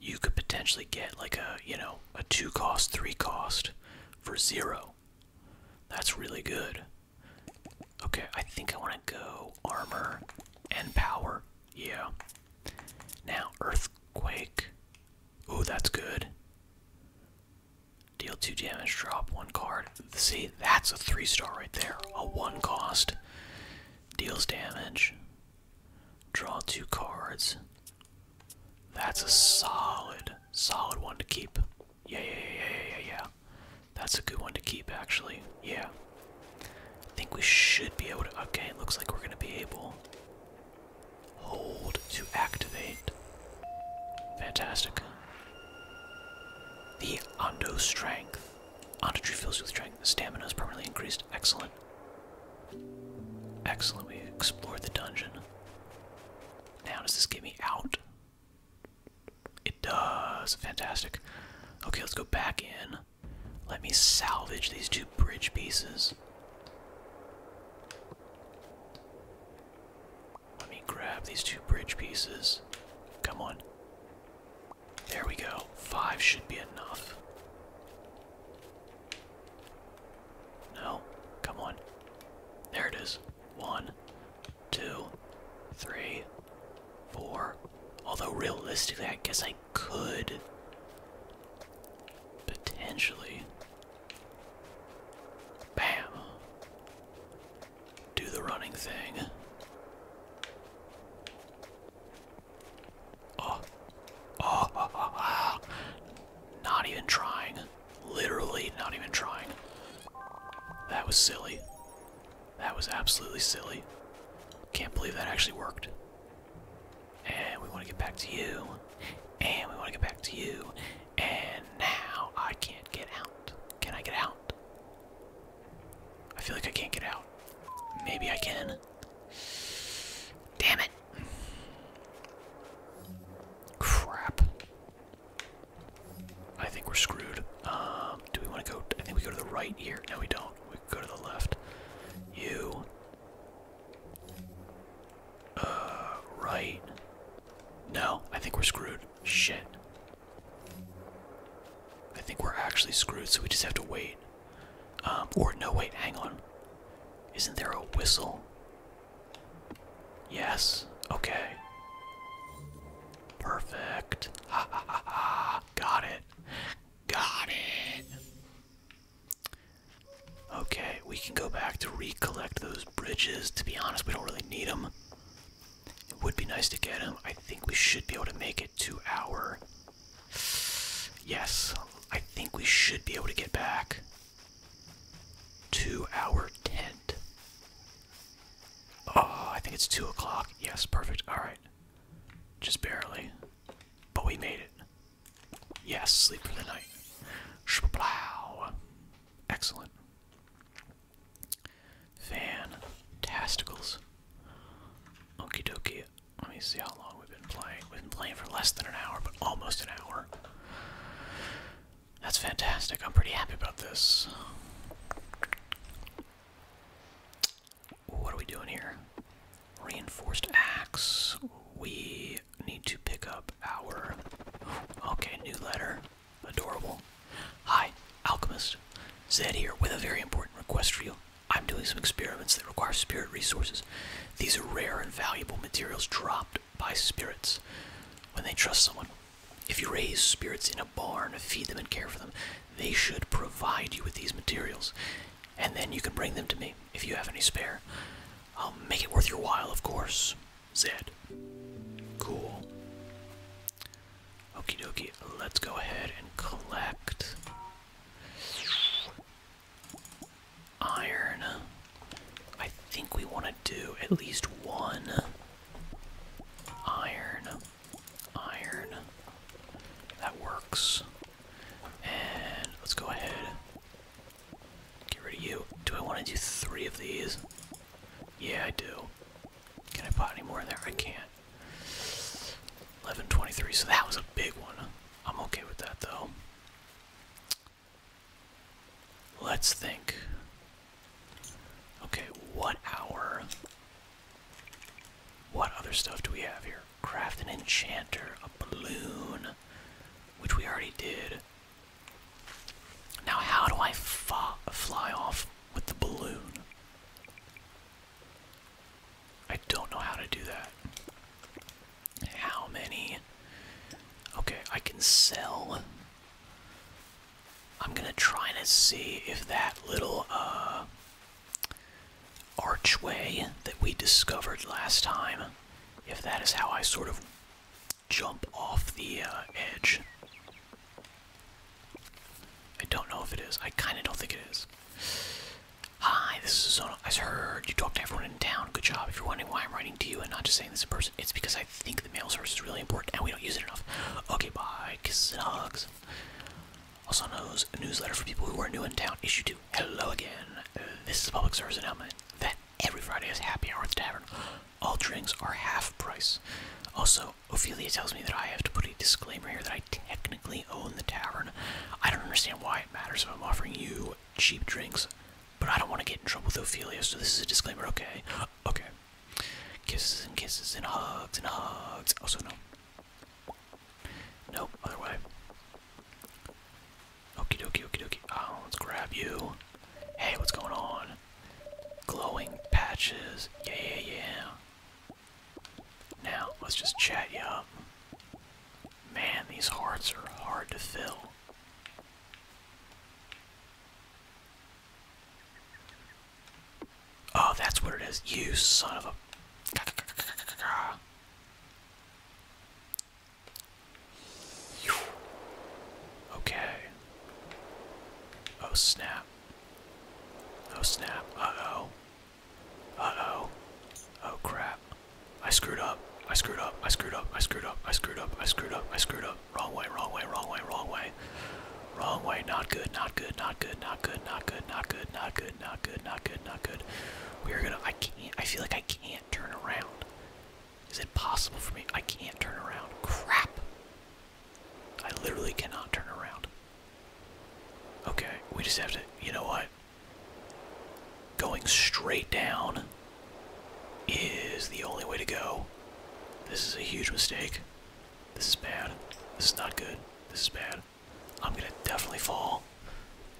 you could potentially get like a you know a two cost three cost for zero that's really good okay i think i want to go armor and power yeah now earthquake oh that's good Deal two damage, drop one card. See, that's a three star right there. A one cost. Deals damage. Draw two cards. That's a solid, solid one to keep. Yeah, yeah, yeah, yeah, yeah, yeah. That's a good one to keep, actually. Yeah. I think we should be able to. Okay, it looks like we're going to be able. Hold to activate. Fantastic. The Ando Strength. Ando tree fills with strength. The stamina is permanently increased. Excellent. Excellent. We explored the dungeon. Now, does this get me out? It does. Fantastic. Okay, let's go back in. Let me salvage these two bridge pieces. Let me grab these two bridge pieces. Come on. There we go. Five should be enough. No, come on. There it is. One, two, three, four. Although, realistically, I guess I could potentially. Bam! do the running thing. Oh. Oh, oh, Not even trying. Literally not even trying. That was silly. That was absolutely silly. Can't believe that actually worked. And we want to get back to you. And we want to get back to you. And now I can't get out. Can I get out? I feel like I can't get out. Maybe I can. Damn it. Crap. I think we're screwed. Um, do we want to go? I think we go to the right here. No, we don't. We go to the left. You. Uh, right. No, I think we're screwed. Shit. I think we're actually screwed, so we just have to wait. Um, or no, wait, hang on. Isn't there a whistle? Yes. Okay. Perfect. Ha Got it. Got it. Okay, we can go back to recollect those bridges. To be honest, we don't really need them. It would be nice to get him. I think we should be able to make it to our. Yes, I think we should be able to get back to our tent. Oh, I think it's 2 o'clock. Yes, perfect. Alright. Just barely. But we made it. Yes, sleep for the night. Excellent. Fantasticals. Okie dokie. Let me see how long we've been playing. We've been playing for less than an hour, but almost an hour. That's fantastic. I'm pretty happy about this. What are we doing here? Reinforced axe. We need to pick up our. Okay, new letter. Adorable. Hi, Alchemist. Zed here with a very important request for you. I'm doing some experiments that require spirit resources. These are rare and valuable materials dropped by spirits when they trust someone. If you raise spirits in a barn, feed them and care for them, they should provide you with these materials. And then you can bring them to me if you have any spare. I'll make it worth your while, of course. Zed. Cool. Okie dokie, let's go ahead and collect iron. I think we want to do at least one iron. Iron. That works. And let's go ahead. Get rid of you. Do I want to do three of these? Yeah, I do. Can I put any more in there? I can't. 1123, so that was a big one. I'm okay with that though. Let's think. Okay, what hour? What other stuff do we have here? Craft an enchanter, a balloon, which we already did. Now, how do I fly off with the balloon. I don't know how to do that. How many? Okay, I can sell. I'm gonna try to see if that little uh, archway that we discovered last time, if that is how I sort of jump off the uh, edge. I don't know if it is. I kind of don't think it is. Hi, this is Zona. I heard you talk to everyone in town. Good job. If you're wondering why I'm writing to you and not just saying this in person, it's because I think the mail service is really important and we don't use it enough. Okay, bye. Kisses and hugs. Also knows a newsletter for people who are new in town. Issue 2. Hello again. This is public service announcement that every Friday is happy hour tavern. All drinks are half price. Also, now, Ophelia tells me that I have to put a disclaimer here that I technically own the tavern. I don't understand why it matters if I'm offering you cheap drinks, but I don't want to get in trouble with Ophelia, so this is a disclaimer, okay? Okay. Kisses and kisses and hugs and hugs. Also, oh, no. Nope, other way. Okie dokie, okie dokie. Oh, let's grab you. Hey, what's going on? Glowing patches. Yeah, yeah, yeah. Now, let's just chat you up. Man, these hearts are hard to fill. Oh, that's what it is. You son of a. Okay. Oh, snap. Oh snap. Uh-oh. Uh-oh. Oh crap. I screwed up. I screwed up. I screwed up. I screwed up. I screwed up. I screwed up. I screwed up. Wrong way, wrong way, wrong way, wrong way. Wrong way. Not good. Not good. Not good. Not good. Not good. Not good. Not good. Not good. Not good. Not good. We're gonna I can't I feel like I can't turn around. Is it possible for me? I can't turn around. Crap. I literally cannot turn around. Okay, we just have to, you know what? Going straight down is the only way to go. This is a huge mistake. This is bad. This is not good. This is bad. I'm gonna definitely fall.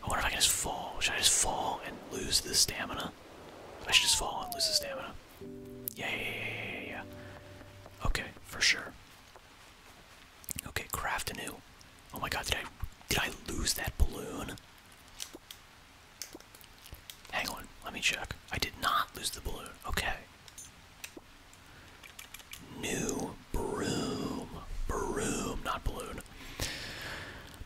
I wonder if I can just fall. Should I just fall and lose the stamina? I should just fall and lose the stamina. Yeah, Okay, for sure. Okay, craft a new. Oh my god, did I did I lose that balloon? Hang on, let me check. I did not lose the balloon. Okay. New broom. Broom, not balloon.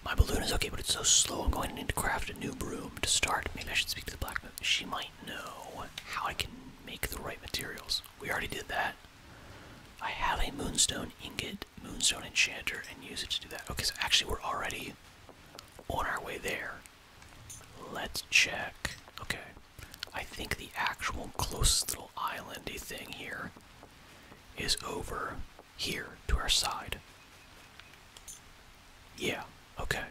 My balloon is okay, but it's so slow. I'm going to need to craft a new broom to start. Maybe I should speak to the blacksmith. She might I how I can make the right materials. We already did that. I have a moonstone ingot, moonstone enchanter, and use it to do that. Okay, so actually we're already on our way there. Let's check. Okay. I think the actual closest little islandy thing here is over here to our side. Yeah, okay.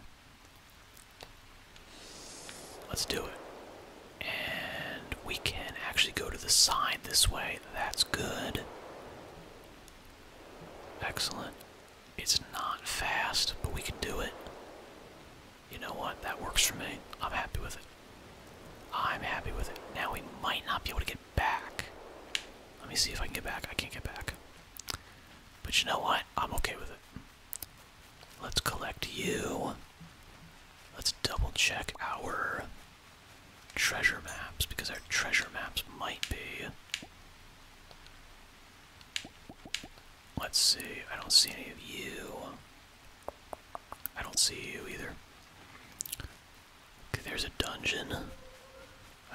Let's do it. And we can actually go to the side this way. That's good. Excellent. It's not fast, but we can do it. You know what? That works for me. I'm happy with it. I'm happy with it. Now we might not be able to get back. Let me see if I can get back. I can't get back. But you know what? I'm okay with it. Let's collect you. Let's double check our treasure maps because our treasure maps might be. Let's see, I don't see any of you. I don't see you either. Okay, there's a dungeon.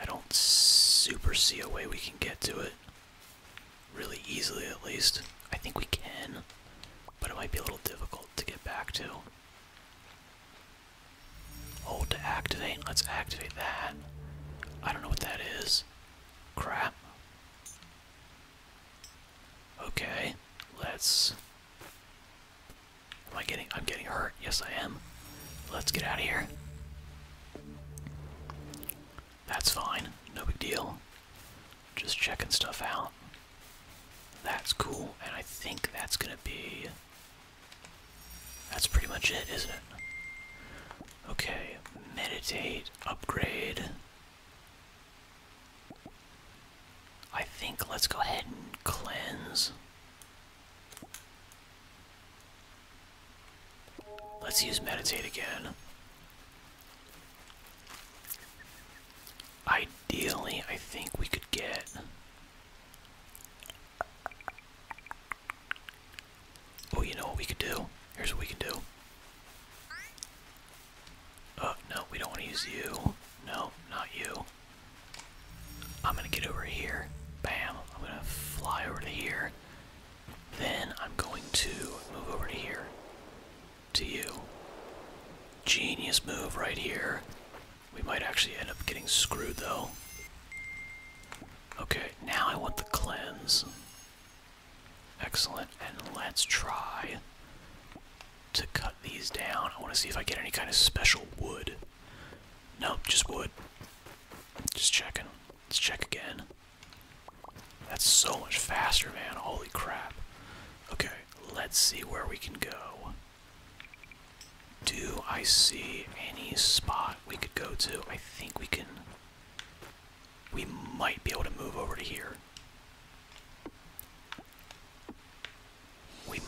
I don't super see a way we can get to it really easily at least. I think we can, but it might be a little difficult to get back to. Hold oh, to activate. Let's activate that. I don't know what that is. Crap. Okay, let's. Am I getting. I'm getting hurt. Yes, I am. Let's get out of here. That's fine, no big deal. Just checking stuff out. That's cool, and I think that's gonna be. That's pretty much it, isn't it? Okay, meditate, upgrade. I think let's go ahead and cleanse. Let's use meditate again. Ideally, I think we could get. Oh, you know what we could do? Here's what we can do. Oh, no, we don't want to use you. No, not you. I'm gonna get over here. Bam. I'm gonna fly over here. Then I'm going to move over to here to you. Genius move right here. We might actually end up getting screwed though. Okay, now I want the cleanse. Excellent, and let's try to cut these down. I want to see if I get any kind of special wood. Nope, just wood. Just checking. Let's check again. That's so much faster, man. Holy crap. Okay, let's see where we can go. Do I see any spot we could go to? I think we can. We might be able to move over to here. We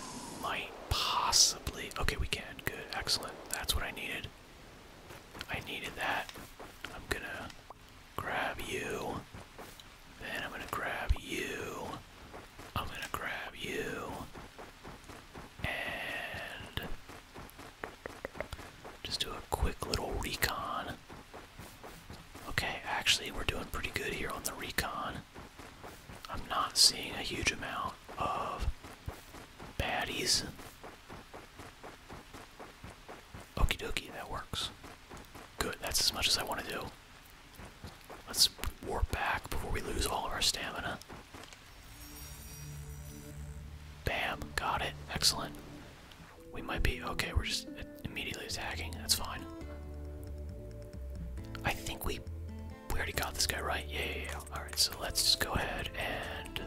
might possibly. Okay, we can. Good. Excellent. That's what I needed. I needed that. I'm gonna grab you. Then I'm gonna grab you. I'm gonna grab you. And just do a quick little recon. Okay, actually, we're doing pretty good here on the recon. I'm not seeing a huge amount of baddies. Okie dokie, that works. Good, that's as much as I want to do. Let's warp back before we lose all of our stamina. Bam, got it. Excellent. We might be okay, we're just immediately attacking. That's fine. I think we we already got this guy right. Yeah, yeah. Alright, so let's just go ahead and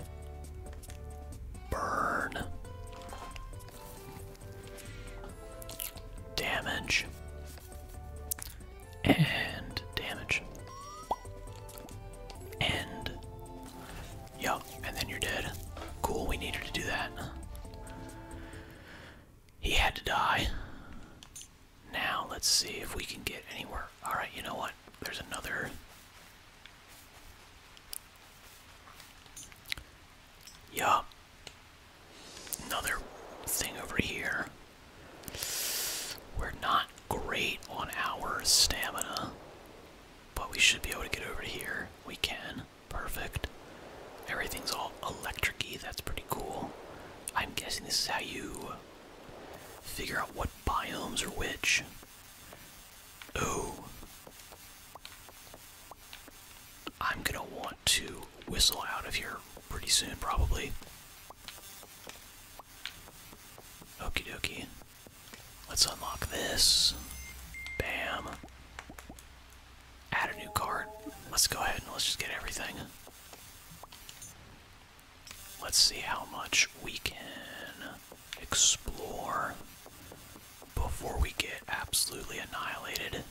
Burn. Damage. And damage. And. Yup, and then you're dead. Cool, we needed to do that. He had to die. Now, let's see if we can get anywhere. Alright, you know what? There's another. Yeah. Another thing over here. We're not great on our stamina, but we should be able to get over here. We can. Perfect. Everything's all electric That's pretty cool. I'm guessing this is how you figure out what biomes are which. Oh. I'm gonna want to whistle out of here pretty soon, probably. Okie dokie. Let's unlock this. Bam. Add a new card. Let's go ahead and let's just get everything. Let's see how much we can explore before we get absolutely annihilated.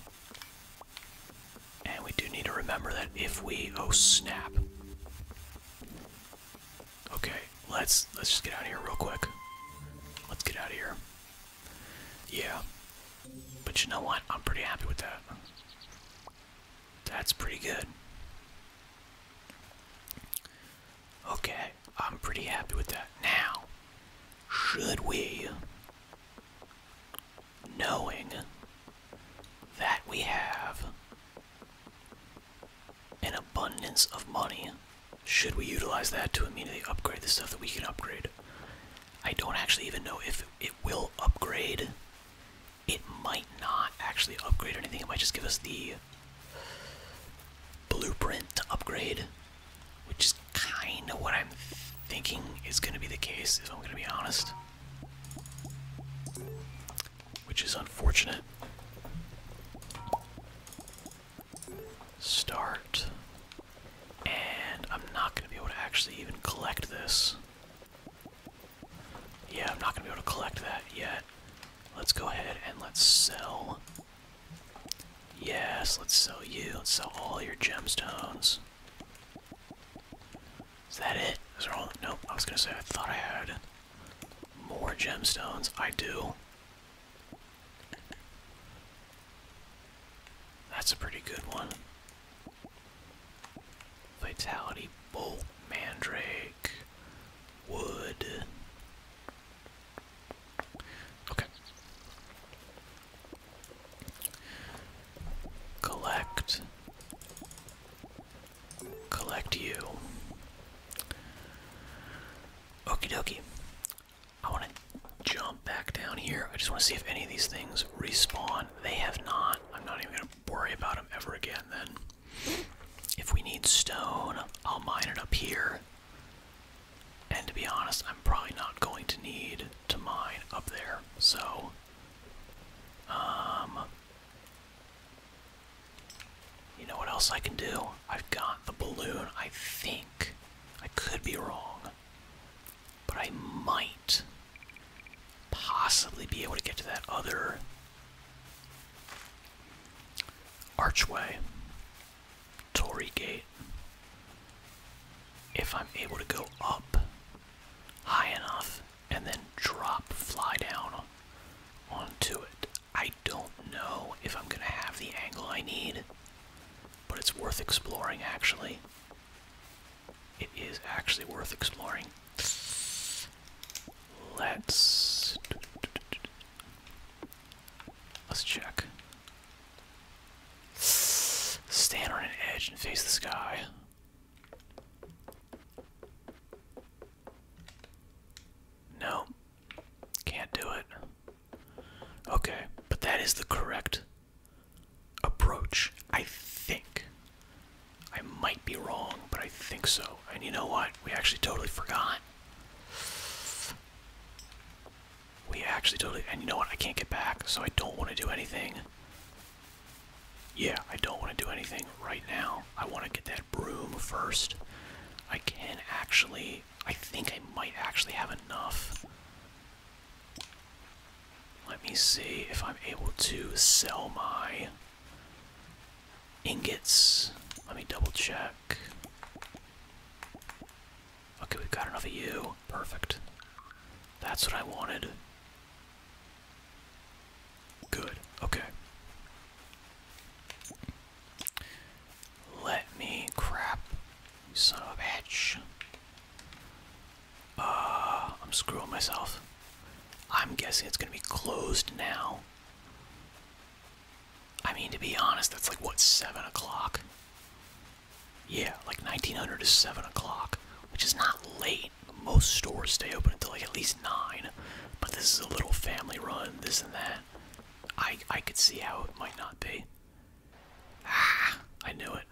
And we do need to remember that if we oh snap. Okay, let's let's just get out of here real quick. Let's get out of here. Yeah. But you know what? I'm pretty happy with that. That's pretty good. Okay. I'm pretty happy with that. Now, should we, knowing that we have an abundance of money, should we utilize that to immediately upgrade the stuff that we can upgrade? I don't actually even know if it will upgrade. It might not actually upgrade or anything. It might just give us the blueprint to upgrade, which is kind of what I'm thinking is going to be the case, if I'm going to be honest. Which is unfortunate. Start. And I'm not going to be able to actually even collect this. Yeah, I'm not going to be able to collect that yet. Let's go ahead and let's sell Yes, let's sell you. Let's sell all your gemstones. Is that it? Is there all? Nope. I was gonna say I thought I had more gemstones. I do. That's a pretty good one. Vitality bolt, mandrake, wood, Okay. Collect. Collect you. Okey dokie. I want to jump back down here. I just want to see if any of these things respawn. They have not. I'm not even going to worry about them ever again then. If we need stone, I'll mine it up here. And to be honest, I'm probably not going to need to mine up there. So, um, you know what else I can do? I've got the balloon, I think. I could be wrong. But I might possibly be able to get to that other archway. Tory Gate. If I'm able to go up high enough and then drop, fly down onto it. I don't know if I'm gonna have the angle I need, but it's worth exploring actually. It is actually worth exploring. Let's. Let's check. Stand on an edge and face the sky. No. Can't do it. Okay, but that is the correct approach, I think. I might be wrong, but I think so. And you know what? We actually totally forgot. We actually totally, and you know what, I can't get back, so I don't want to do anything. Yeah, I don't want to do anything right now. I want to get that broom first. I can actually, I think I might actually have enough. Let me see if I'm able to sell my ingots. Let me double check. Okay, we've got enough of you. Perfect. That's what I wanted. Good. Okay. Let me crap. son of a bitch. Uh, I'm screwing myself. I'm guessing it's gonna be closed now. I mean, to be honest, that's like what, 7 o'clock? Yeah, like 1900 to 7 o'clock, which is not late. Most stores stay open until like at least 9, but this is a little family run, this and that. I, I could see how it might not be. Ah, I knew it.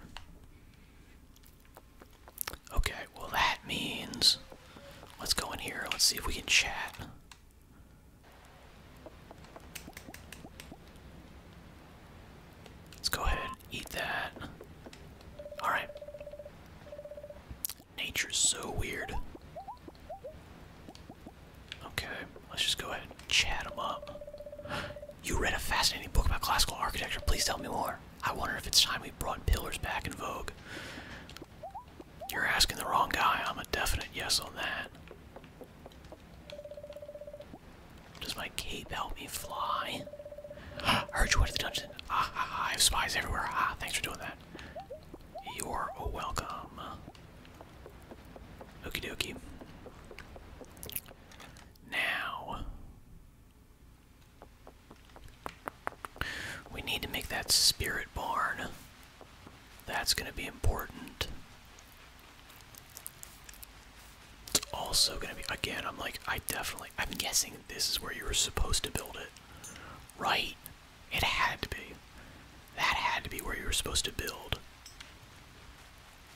Okay, well that means let's go in here. Let's see if we can chat. Let's go ahead and eat that. Alright. Nature's so weird. Okay, let's just go ahead and chat them up. You read a fascinating book about classical architecture. Please tell me more. I wonder if it's time we brought pillars back in vogue. You're asking the wrong guy. I'm a definite yes on that. Does my cape help me fly? I heard you went to the dungeon. Ah, I have spies everywhere. thanks for doing that. You're welcome. Okie dokie. Now, we need to make that spirit barn. That's going to be important. It's also going to be, again, I'm like, I definitely, I'm guessing this is where you were supposed to build it. Right? It had to be. That had to be where you were supposed to build.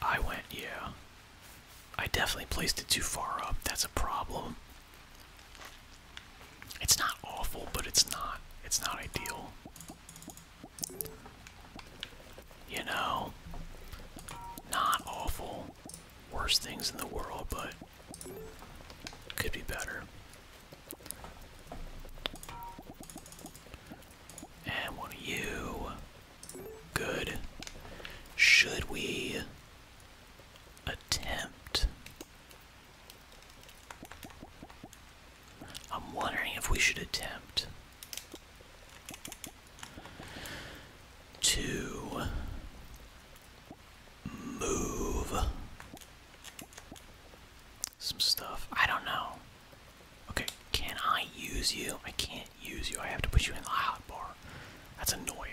I went, yeah. I definitely placed it too far up. That's a problem. It's not awful, but it's not. It's not ideal. You know, not awful. Worst things in the world, but could be better. And you? Good. Should we attempt I'm wondering if we should attempt to move some stuff. I don't know. Okay, can I use you? I can't use you. I have to put you in the hotbar. That's annoying.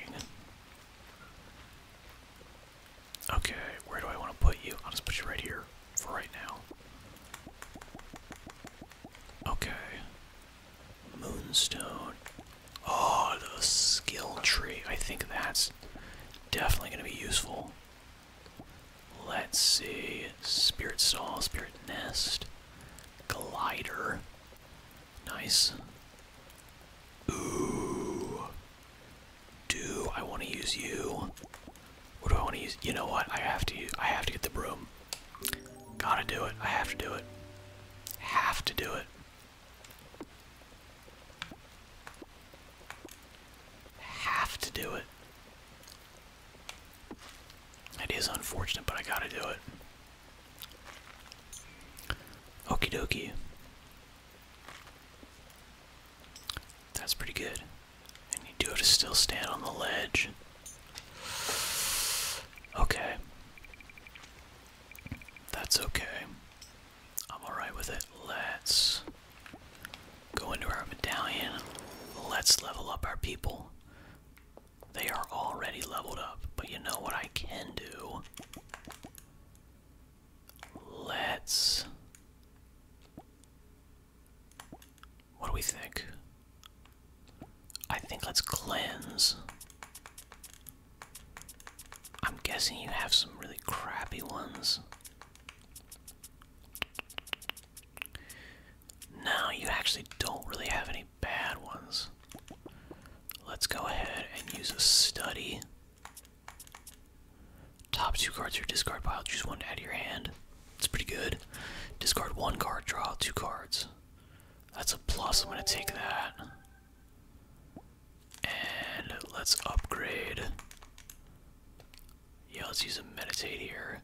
Okay, where do I want to put you? I'll just put you right here for right now. Okay. Moonstone. Oh, the skill tree. I think that's definitely going to be useful. Let's see. Spirit Saw, Spirit Nest, Glider. Nice. Ooh. Do I want to use you? What do I want to use? You know what? I have to. I have to get the broom. Gotta do it. I have to do it. Have to do it. Have to do it. It is unfortunate, but I gotta do it. Okie dokie. That's pretty good. And you do it. still stand on the ledge. Okay. That's okay. I'm alright with it. Let's go into our medallion. Let's level up our people. They are already leveled up, but you know what I can do? Let's what do we think? I think let's cleanse. I'm guessing you have some really crappy ones. No, you actually don't really have any bad ones. Let's go ahead and use a study. Top two cards to your discard pile. Choose one to add to your hand. It's pretty good. Discard one card, draw two cards. That's a plus. I'm going to take that. And let's upgrade. Yeah, let's use a meditate here.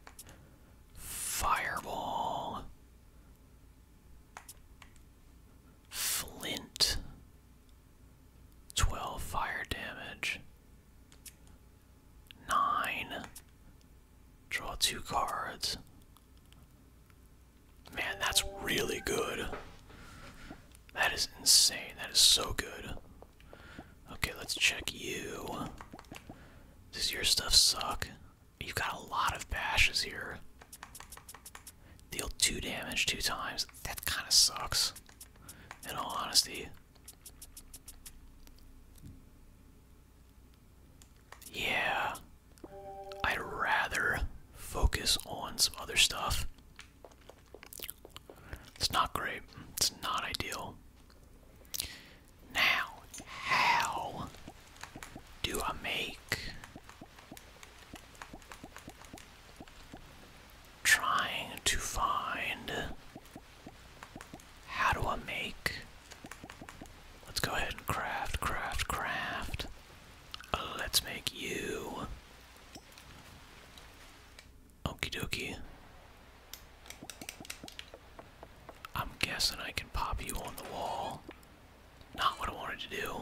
Fireball. Flint. 12 fire damage. Nine. Draw two cards. Man, that's really good. That is insane. That is so good. Okay, let's check you. Does your stuff suck? You've got a lot of bashes here. Deal two damage two times. That kind of sucks. In all honesty. Yeah. I'd rather focus on some other stuff. It's not great. It's not ideal. Now, how do I make trying to find how do I make? Let's go ahead and craft, craft, craft. let's make you. Okie dokie. I'm guessing I can pop you on the wall. Not what I wanted to do.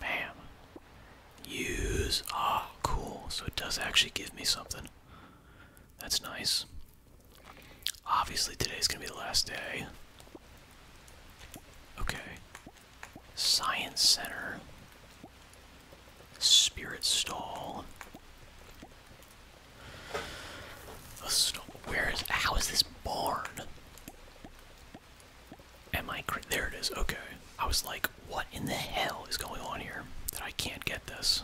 Bam. Use. Ah, cool. So it does actually give me something. That's nice. Obviously, today's gonna be the last day. Okay. Science Center. Spirit Stall. Where is. How is this barn? Am I. There it is. Okay. I was like, what in the hell is going on here that I can't get this?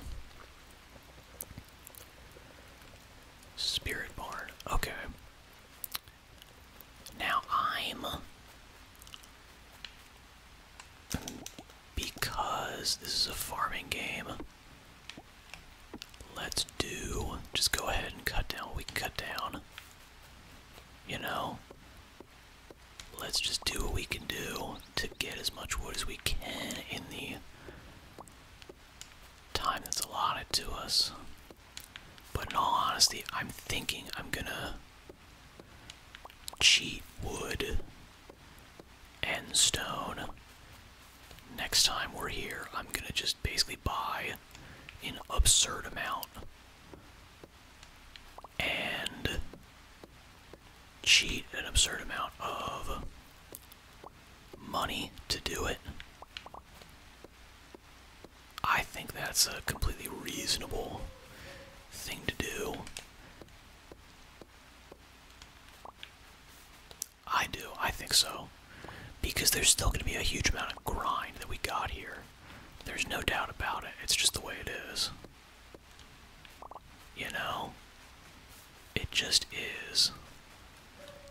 Spirit Barn. Okay. Now I'm. Because this is a farming game, let's do. Just go ahead and cut down what we can cut down. You know? Let's just do what we can do to get as much wood as we can in the time that's allotted to us. But in all honesty, I'm thinking I'm gonna cheat wood and stone. Next time we're here, I'm gonna just basically buy an absurd amount and cheat an absurd amount of money to do it. I think that's a completely reasonable thing to do. I do, I think so. Because there's still going to be a huge amount of grind that we got here. There's no doubt about it, it's just the way it is. You know? It just is.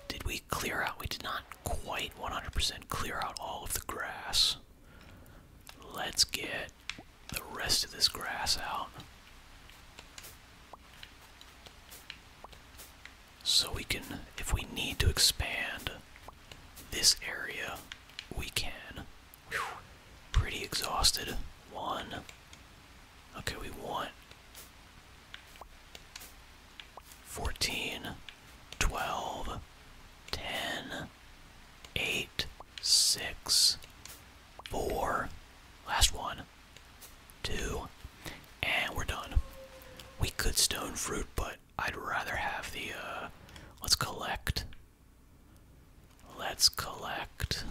Did we clear out? We did not quite 100% clear out all of the grass. Let's get the rest of this grass out. So we can, if we need to expand this area, we can. Pretty exhausted. One. Okay, we won. 14, 12, 10, 8, 6, 4. Last one. 2. And we're done. We could stone fruit, but I'd rather have the, uh, let's collect Let's collect.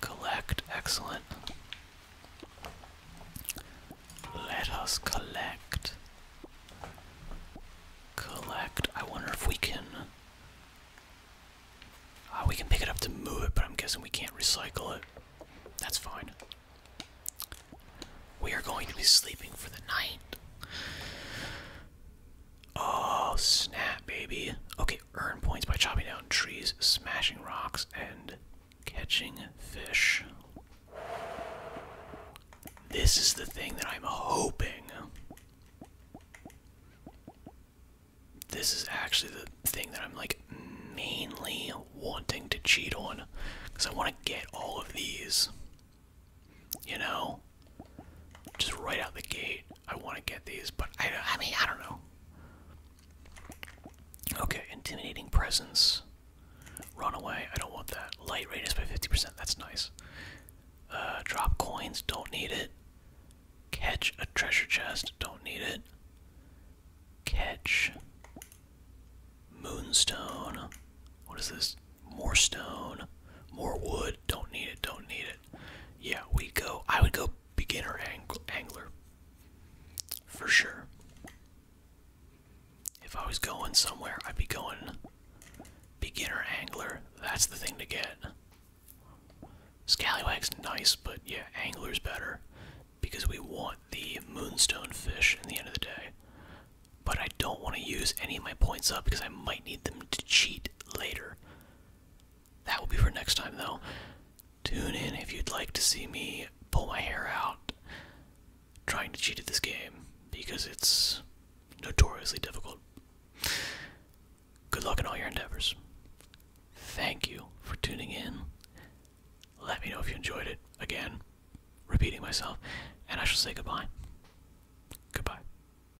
Collect, excellent. Let us collect. Collect. I wonder if we can. Ah, we can pick it up to move it, but I'm guessing we can't recycle it. That's fine. We are going to be sleeping for the night. Oh, snap, baby. Okay, earn points by chopping down trees, smashing rocks, and catching fish. This is the thing that I'm hoping. This is actually the thing that I'm like mainly wanting to cheat on. Because I want to get all of these. You know? Just right out the gate. I want to get these, but I, I mean, I don't know. Okay, intimidating presence. Run away. I don't want that. Light radius by 50%. That's nice. Uh, drop coins. Don't need it. Catch a treasure chest. Don't need it. Catch. Moonstone. What is this? More stone. More wood. Don't need it. Don't need it yeah, we go. I would go beginner angler for sure. If I was going somewhere, I'd be going beginner angler. That's the thing to get. Scallywag's nice, but yeah, angler's better because we want the moonstone fish in the end of the day. But I don't want to use any of my points up because I might need them to cheat later. That will be for next time, though. Tune in if you'd like to see me pull my hair out trying to cheat at this game because it's notoriously difficult. Good luck in all your endeavors. Thank you for tuning in. Let me know if you enjoyed it. Again, repeating myself, and I shall say goodbye. Goodbye.